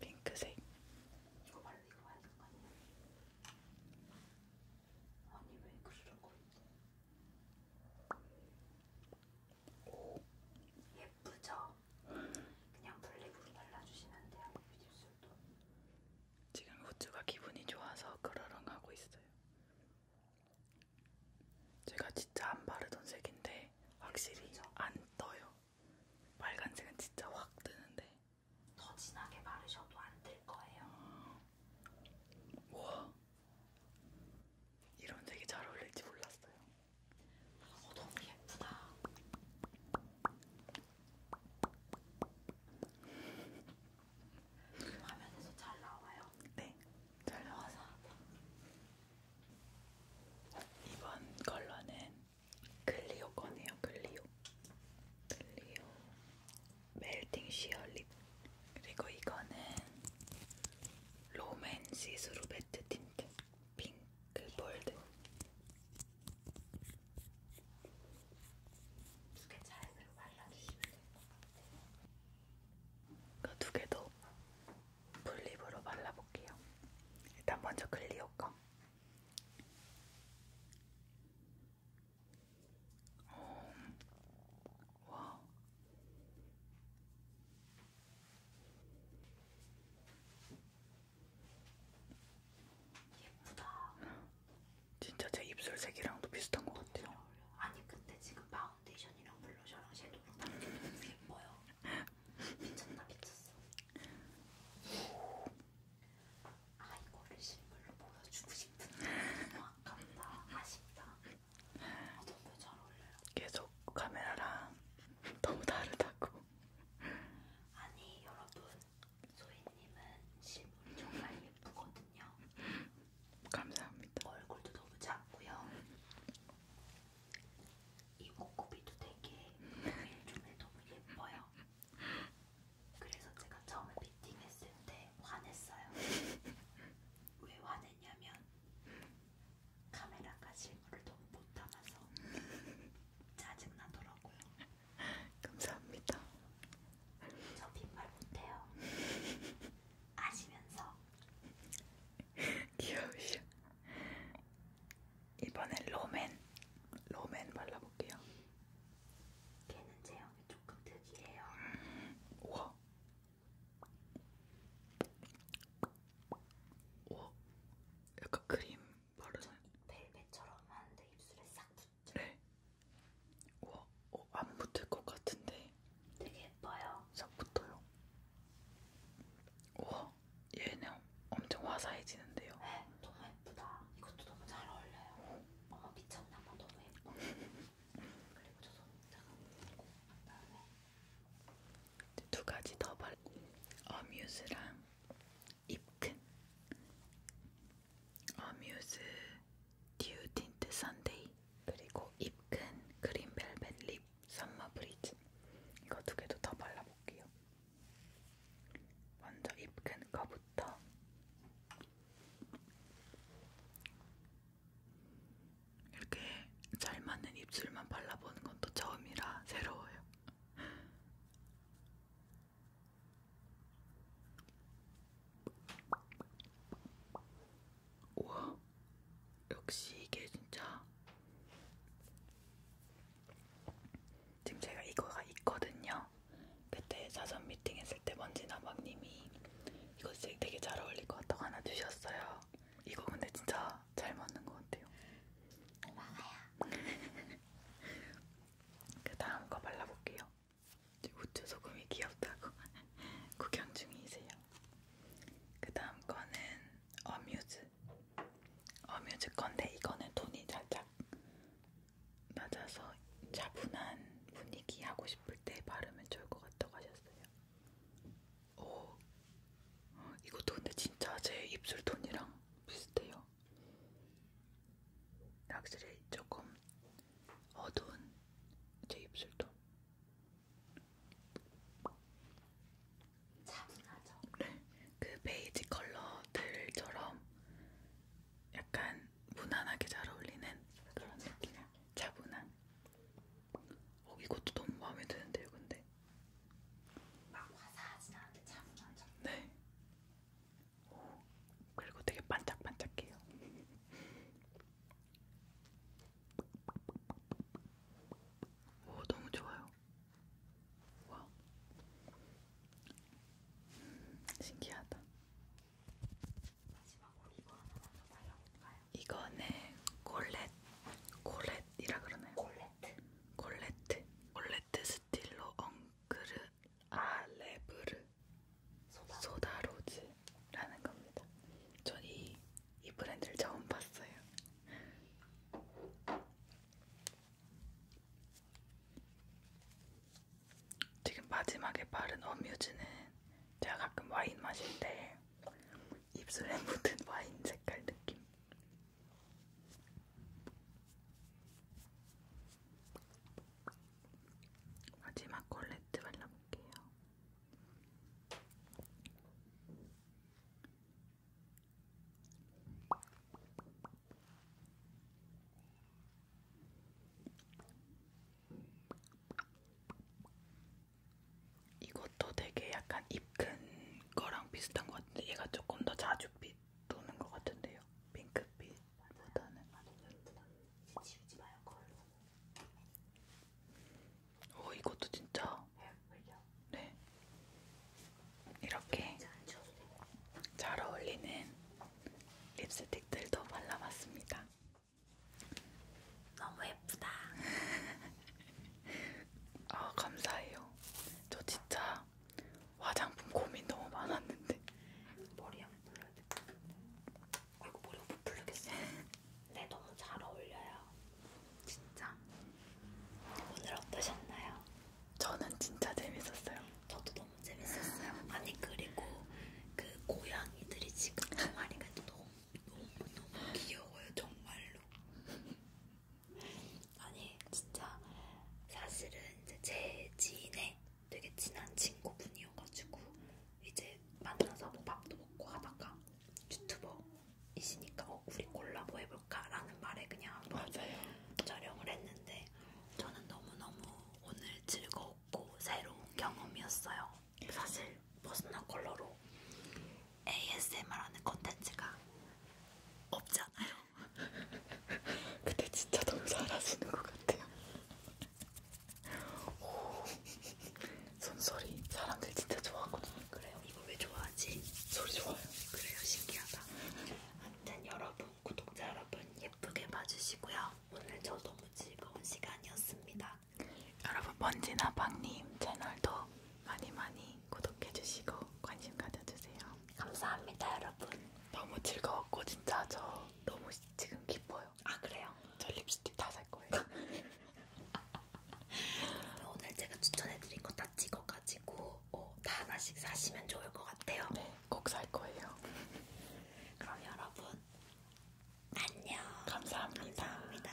핑크색. 이거 바르 이거 바르는 거 아니야? 아니 왜 그러는 거야? 오. 얘 예쁘죠? 그냥 블랙으로 발라주시면 돼요. 입술도. 그 지금 후추가 기분이 좋아서 그러렁하고 있어요. 제가 진짜 안 바르던 색인데 확실히 그렇죠? 안 떠요. 빨간색은 진짜 확 뜨는데. 더 진하게 바르셔도 안뜰 거예요. 아, 우와. 이런 색이 잘 어울릴지 몰랐어요. 어, 너무 예쁘다. 화면에서 잘 나와요? 네, 잘 나와서. 이번 컬러는 글리오 거네요, 글리오. 글리오. 멜팅 시어 립. 그리고 이거는 로맨시 스루베트 틴트. 핑크 볼드. 두개 차례대로 발라주시면 될 것 같아요. 그두 개도 분립으로 발라볼게요. 일단 먼저 클리오 거. 어, 와. 예쁘다. 진짜 제 입술색이랑도 비슷한 것 같아요. 아니 근데 지금 파운데이션이랑 블러셔랑 섀도우랑 바르게 너무 예뻐요. 미쳤나 미쳤어. 아 이거를 실물로 보여주고 싶은데 너무 아깝다. 아쉽다. 아, 너무 잘 어울려요. 계속 카메라랑 너무 다르다고. 아니 여러분 소희님은 실물이 정말 예쁘거든요. 감사합니다. 얼굴도 너무 작고요. 이 목구비도 되게 일종의 너무 예뻐요. 그래서 제가 처음에 미팅했을 때 화냈어요. 왜 화냈냐면 카메라가 실물을 너무 못 담아서 짜증나더라고요. 감사합니다. 저 빈말 못해요. 아시면서. 귀여우셔. 이번엔 로맨. 로맨 발라볼게요. 걔는 제형이 조금 특이해요. 우와. 우와. 약간 크림 바르세요. 벨벳처럼 하는데 입술에 싹 붙죠? 네. 우와, 어, 안 붙을 것 같은데. 되게 예뻐요. 싹 붙어요. 우와, 얘는 엄청 화사해지는데요. 네, 너무 예쁘다. 이것도 너무 잘 어울려요. 어머, 미쳤나 봐. 너무 예뻐. 그리고 저 손자가 있고, 그 다음에 두 가지 더 바르고, 어뮤즈랑 입큰 어뮤즈 듀 틴트 선데이 그리고 입큰 그린벨벳 립 썸머 브리즈 이거 두 개도 더 발라볼게요. 먼저 입큰 거부터 이렇게 잘 맞는 입술만 발라보는 건 또 처음이라 새로워요. 우와, 역시 이게 진짜 지금 제가 이거가 있거든요. 그때 사전 미팅 했을 때 먼지나방님이 이거 되게 잘 어울릴 것 같다고 하나 주셨어요. 이거 근데 진짜 진짜 잘 맞는 것 같아요. 고마워요. 그 다음 거 발라볼게요. 우추 소금이 귀엽다고 구경 중이세요. 그 다음 거는 어뮤즈. 어뮤즈 건데 이거는 톤이 살짝 낮아서 차분한 분위기 하고 싶을 때 바르면 좋을 것 같다고 하셨어요. 오, 어, 이것도 근데 진짜 제 입술 톤이랑 비슷해요. 확실히 조금 어두운 제 입술도 차분하죠? 네, 그 베이지 컬러들처럼 약간 무난하게 잘 어울리는 그런 느낌 차분한 어, 이것도 너무 마음에 드는데요 근데 막 화사하진 않은데 차분하죠. 네. 오, 그리고 되게 반짝반짝해요. 오, 너무 좋아요. 와, 음, 신기하다. 마지막으로 이거 하나만 더 발라볼까요? 이거는 콜렛, 콜렛이라 그러나요? 콜렛, 콜렛, 콜렛 스틸로 엉크르 아레브르 소다로즈라는 겁니다. 전이 이 브랜드를 처음 봤어요. 지금 마지막에 바른 어뮤즈는 제가 가끔 와인 마실 때 입술에 묻은 와인 색깔 느낌 마지막 콜레트 발라볼게요. 이것도 되게 약간 입큰 거랑 비슷한 것 같은데 얘가 조금 더 자주빛 도는 것 같은데요. 핑크빛보다는. 오, 어, 이것도 진짜. 네. 이렇게 잘 어울리는 립스틱들도 발라봤습니다. 너무 예쁘다. 아, 감사해요. 저 진짜 진짜 화장품 고민 너무 많았는데 머리 한번 풀려야겠다 아이고 머리 한번 풀려겠어 네 너무 잘 어울려요 진짜 오늘 어떠셨나요? 저는 진짜 재밌었어요 저도 너무 재밌었어요 아니 그리고 그 고양이들이 지금 동아리가 그 너무 너무 너무 귀여워요 정말로 아니 진짜 사실은 이제 제 지인의 되게 친한 친구분이어가지고 이제 만나서 뭐 밥도 먹고 하다가 유튜버이시니까 어, 우리 콜라보 해볼까라는 말에 그냥 맞아요 촬영을 했는데 저는 너무 너무 오늘 즐거웠고 새로운 경험이었어요. 사실 버스나 컬러로 ASMR하는 컨텐츠가 없잖아요. 근데 진짜 너무 잘하시는 것 같아요. 오, 손소리 사람들 진짜 좋아하거든요. 그래요? 이거 왜 좋아하지? 소리 좋아요. 그래요? 신기하다. 아무튼 여러분, 구독자 여러분 예쁘게 봐주시고요. 오늘 저 너무 즐거운 시간이었습니다. 여러분 먼지나 박님 채널도 많이 많이 구독해주시고 관심 가져주세요. 감사합니다, 여러분. 너무 즐거웠고 진짜 저 너무 지금 기뻐요. 아 그래요? 저 립스틱 다 살 거예요. 오늘 제가 추천해드린 거 다 찍어가지고 어, 다 하나씩 사시면 좋을 것 같아요. 네, 꼭살 거예요. 그럼 여러분 안녕. 감사합니다. 감사합니다.